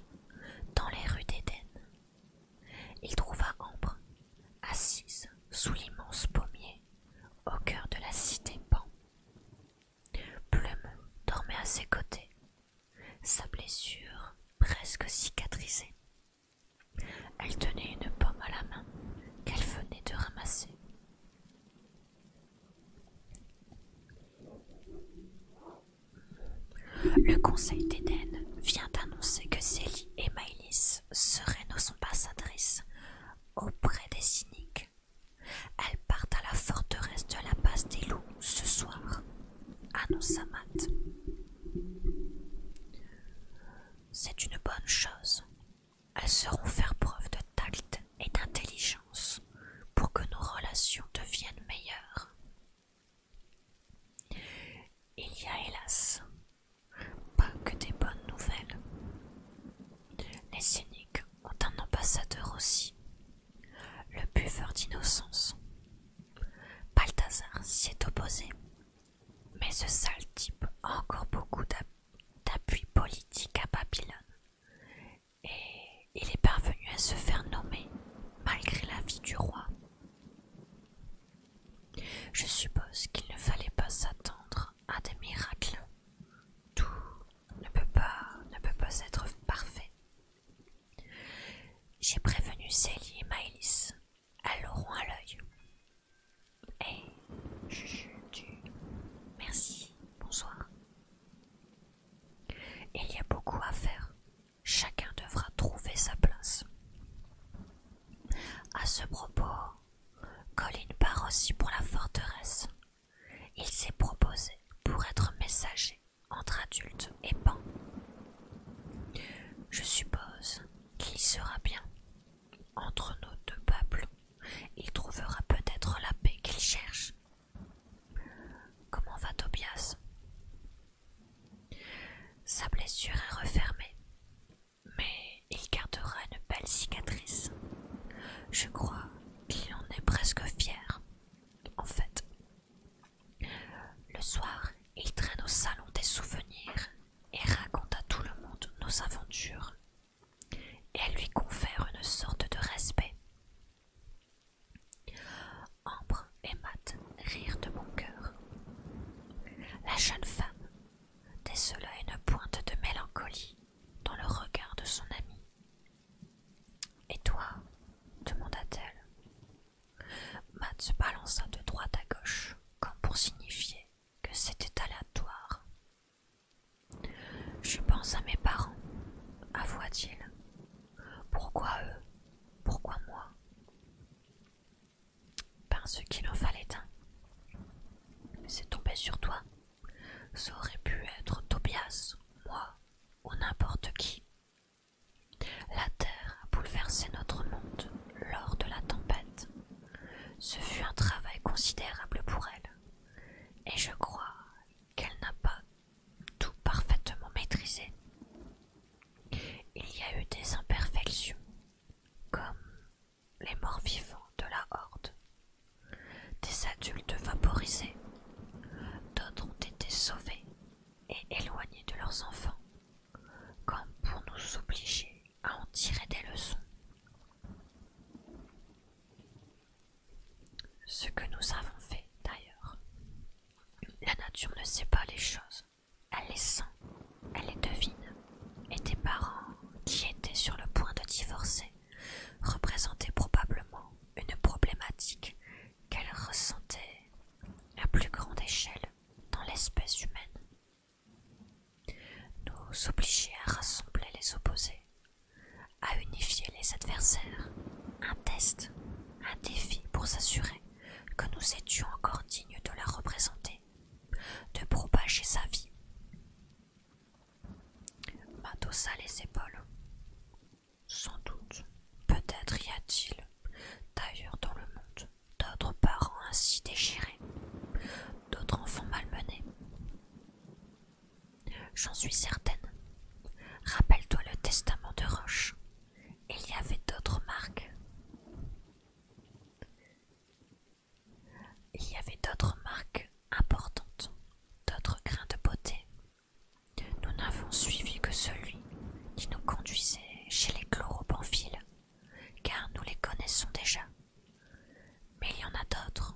dans les rues d'Éden. Il trouva Ambre assise sous l'immense pommier au cœur de la cité Pan. Plume dormait à ses côtés, sa blessure presque cicatrisée. Elle tenait une pomme à la main qu'elle venait de ramasser. Le conseil d'Éden vient d'annoncer que Célie et Maïlis seraient nos ambassadrices auprès des cyniques. Elles partent à la forteresse de la passe des loups ce soir nos Matt. C'est une bonne chose. Elles sauront faire preuve de tact et d'intelligence pour que nos relations deviennent meilleures. Il y a hélas pas que des bonnes nouvelles. Les cyniques ont un ambassadeur aussi, le buveur d'innocence. Balthazar s'y est opposé mais ce sale type a encore beaucoup d'appui politique à Babylone. Et il est parvenu à se faire nommer malgré l'avis du roi. Je suppose qu'il ne fallait pas s'attendre à des miracles. Tout ne peut pas, être parfait. J'ai prévenu Célie et Maëlys elles l'auront à l'œil. Hé, Merci, bonsoir. Il y a beaucoup à faire. Chacun devra trouver sa place. À ce propos, Colin part aussi pour la forteresse. Il s'est proposé pour être messager entre adultes et pan. Je suppose qu'il sera bien entre nos deux peuples. Il trouvera peut-être la paix qu'il cherche. Comment va Tobias Sa blessure est refermée, mais il gardera une belle cicatrice. Je crois qu'il en est presque fier. En fait, le soir, il traîne au salon des souvenirs et raconte à tout le monde nos aventures. Et elle lui confère une sorte de respect. Ambre et Matt rirent de bon cœur. La jeune femme décela une pointe de mélancolie dans le regard de son ami. Et toi demanda-t-elle. Matt se balança de droite à gauche, comme pour signifier que c'était aléatoire. Je pense à mes parents, avoua-t-il. Pourquoi eux Pourquoi moi Parce qu'il en fallait un. C'est tombé sur toi. Ça aurait pu être Tobias, moi, ou n'importe qui. La terre a bouleversé notre monde lors de la tempête. Ce fut un travail considérable pour elle, et je crois qu'elle n'a pas tout parfaitement maîtrisé. Il y a eu des imperfections, comme les morts vivants de la horde, des adultes vaporisés, d'autres ont été sauvés et éloignés de leurs enfants comme pour nous obliger à en tirer des leçons. Ce que nous avons fait d'ailleurs. La nature ne sait pas les choses, elle les sent, elle les devine, et des parents, qui étaient sur le point de divorcer, représentaient probablement une problématique qu'elle ressentait à plus grande échelle dans l'espèce humaine nous obliger à rassembler les opposés, à unifier les adversaires, un test, un défi pour s'assurer que nous étions encore dignes de la représenter, de propager sa vie. M'adossa les épaules. Sans doute, peut-être y a-t-il, d'ailleurs dans le monde, d'autres parents ainsi déchirés, d'autres enfants malmenés. J'en suis certaine. Rappelle-toi le testament de Roche. Il y avait d'autres marques. Il y avait d'autres marques importantes, d'autres grains de beauté. Nous n'avons suivi que celui qui nous conduisait chez les chloropamphiles car nous les connaissons déjà. Mais il y en a d'autres.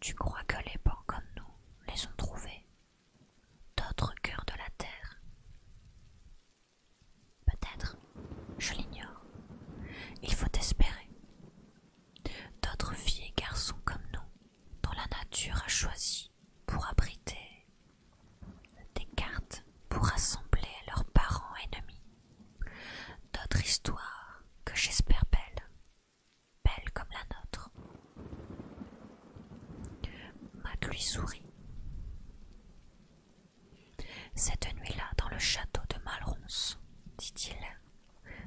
Tu crois que les bons comme nous les ont trouvés D'autres cœurs de la terre Peut-être, je l'ignore. Il faut espérer. D'autres filles et garçons comme nous, dont la nature a choisi pour abriter, des cartes pour assembler leurs parents ennemis, d'autres histoires que j'espère belles, belles comme la nôtre. Matt lui sourit. Cette nuit-là, dans le château de Malronce, dit-il,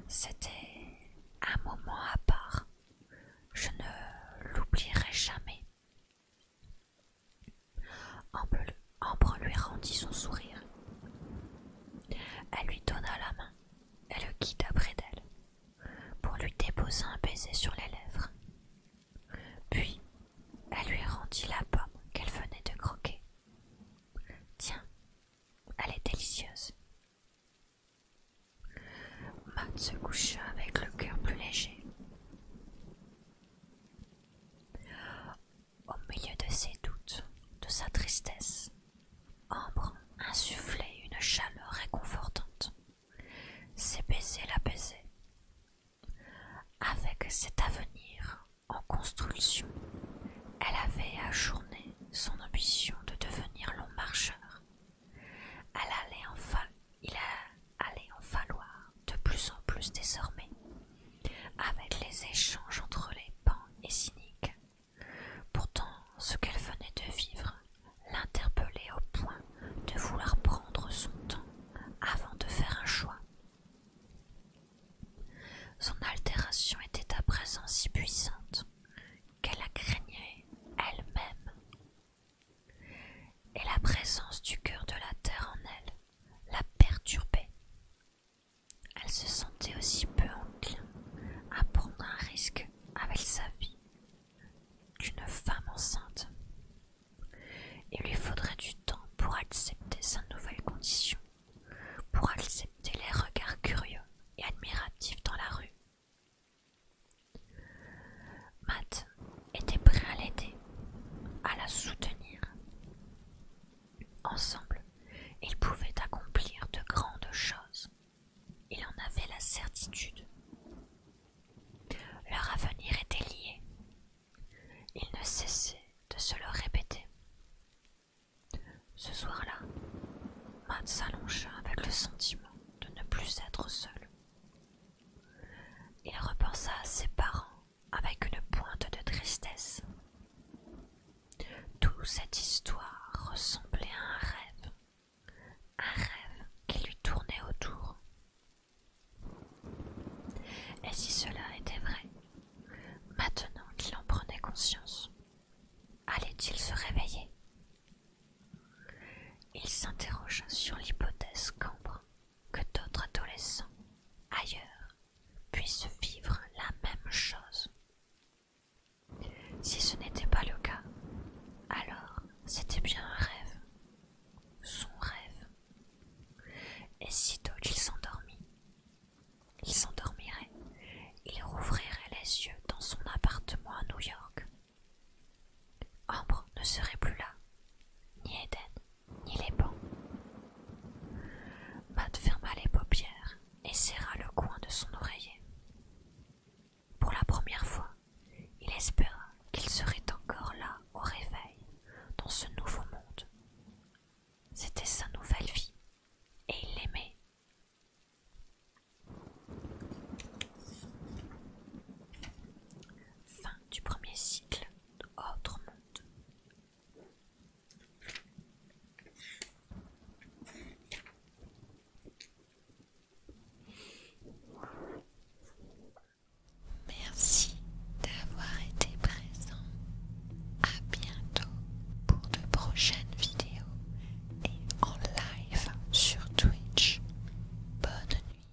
c'était un moment à part. Je ne l'oublierai jamais. Ambre lui rendit son sourire. Elle lui donna la main et le quitta près d'elle pour lui déposer un baiser sur les lèvres. Puis elle lui rendit la pomme qu'elle venait de croquer. Tiens, elle est délicieuse. Matt se coucha avec le cœur plus léger. Au milieu de ses doutes, de sa tristesse, Ambre insufflait une chaleur réconfortante. Ses baisers l'apaisaient. Avec cet avenir en construction, elle avait ajourné son ambition de devenir long marcheur. Elle allait enfin, il, a, allait en falloir de plus en plus désormais, avec les échanges entre les pans et cyniques. Pourtant, ce qu'elle venait de vivre l'interpellait au point de vouloir prendre son temps avant de faire un choix. Son altération était à présent si puissante qu'elle la craignait elle-même et la présence du cœur de la terre en elle la perturbait. Elle se sentait aussi peu enclin à prendre un risque avec sa vie qu'une femme enceinte. Il lui faudrait du temps pour accepter sa nouvelle condition, pour accepter les regards curieux et admiratifs dans la rue. Matt était prêt à l'aider, à la soutenir. Ensemble, ils pouvaient accomplir de grandes choses. Il en avait la certitude. Leur avenir était lié. Ils ne cessaient de se le répéter. Ce soir-là, Matt s'allongea avec le sentiment de ne plus être seul. Il repensa à ses parents avec une pointe de tristesse. Toute cette histoire ressemblait à un rêve, un rêve qui lui tournait autour. Et si cela était vrai, maintenant qu'il en prenait conscience, allait-il se réveiller Il s'interrogea sur l'hypothèse qu'Ambre que d'autres adolescents ailleurs puissent vivre la même chose. Si ce n'était pas le cas, alors c'était bien un rêve, son rêve. Et sitôt il s'endormit, il s'endormirait, il rouvrirait les yeux dans son appartement à New York, Ambre ne serait plus là, ni Eden, ni les bancs. Matt ferma les paupières et serra le coin de son oreiller. Pour la première fois, il espéra qu'il serait encore là au réveil, dans ce nouveau monde. C'était sa nouvelle vie, et il l'aimait. Fin du premier cycle autre monde. Merci d'avoir été présent. À bientôt pour de prochaines vidéos et en live sur Twitch. Bonne nuit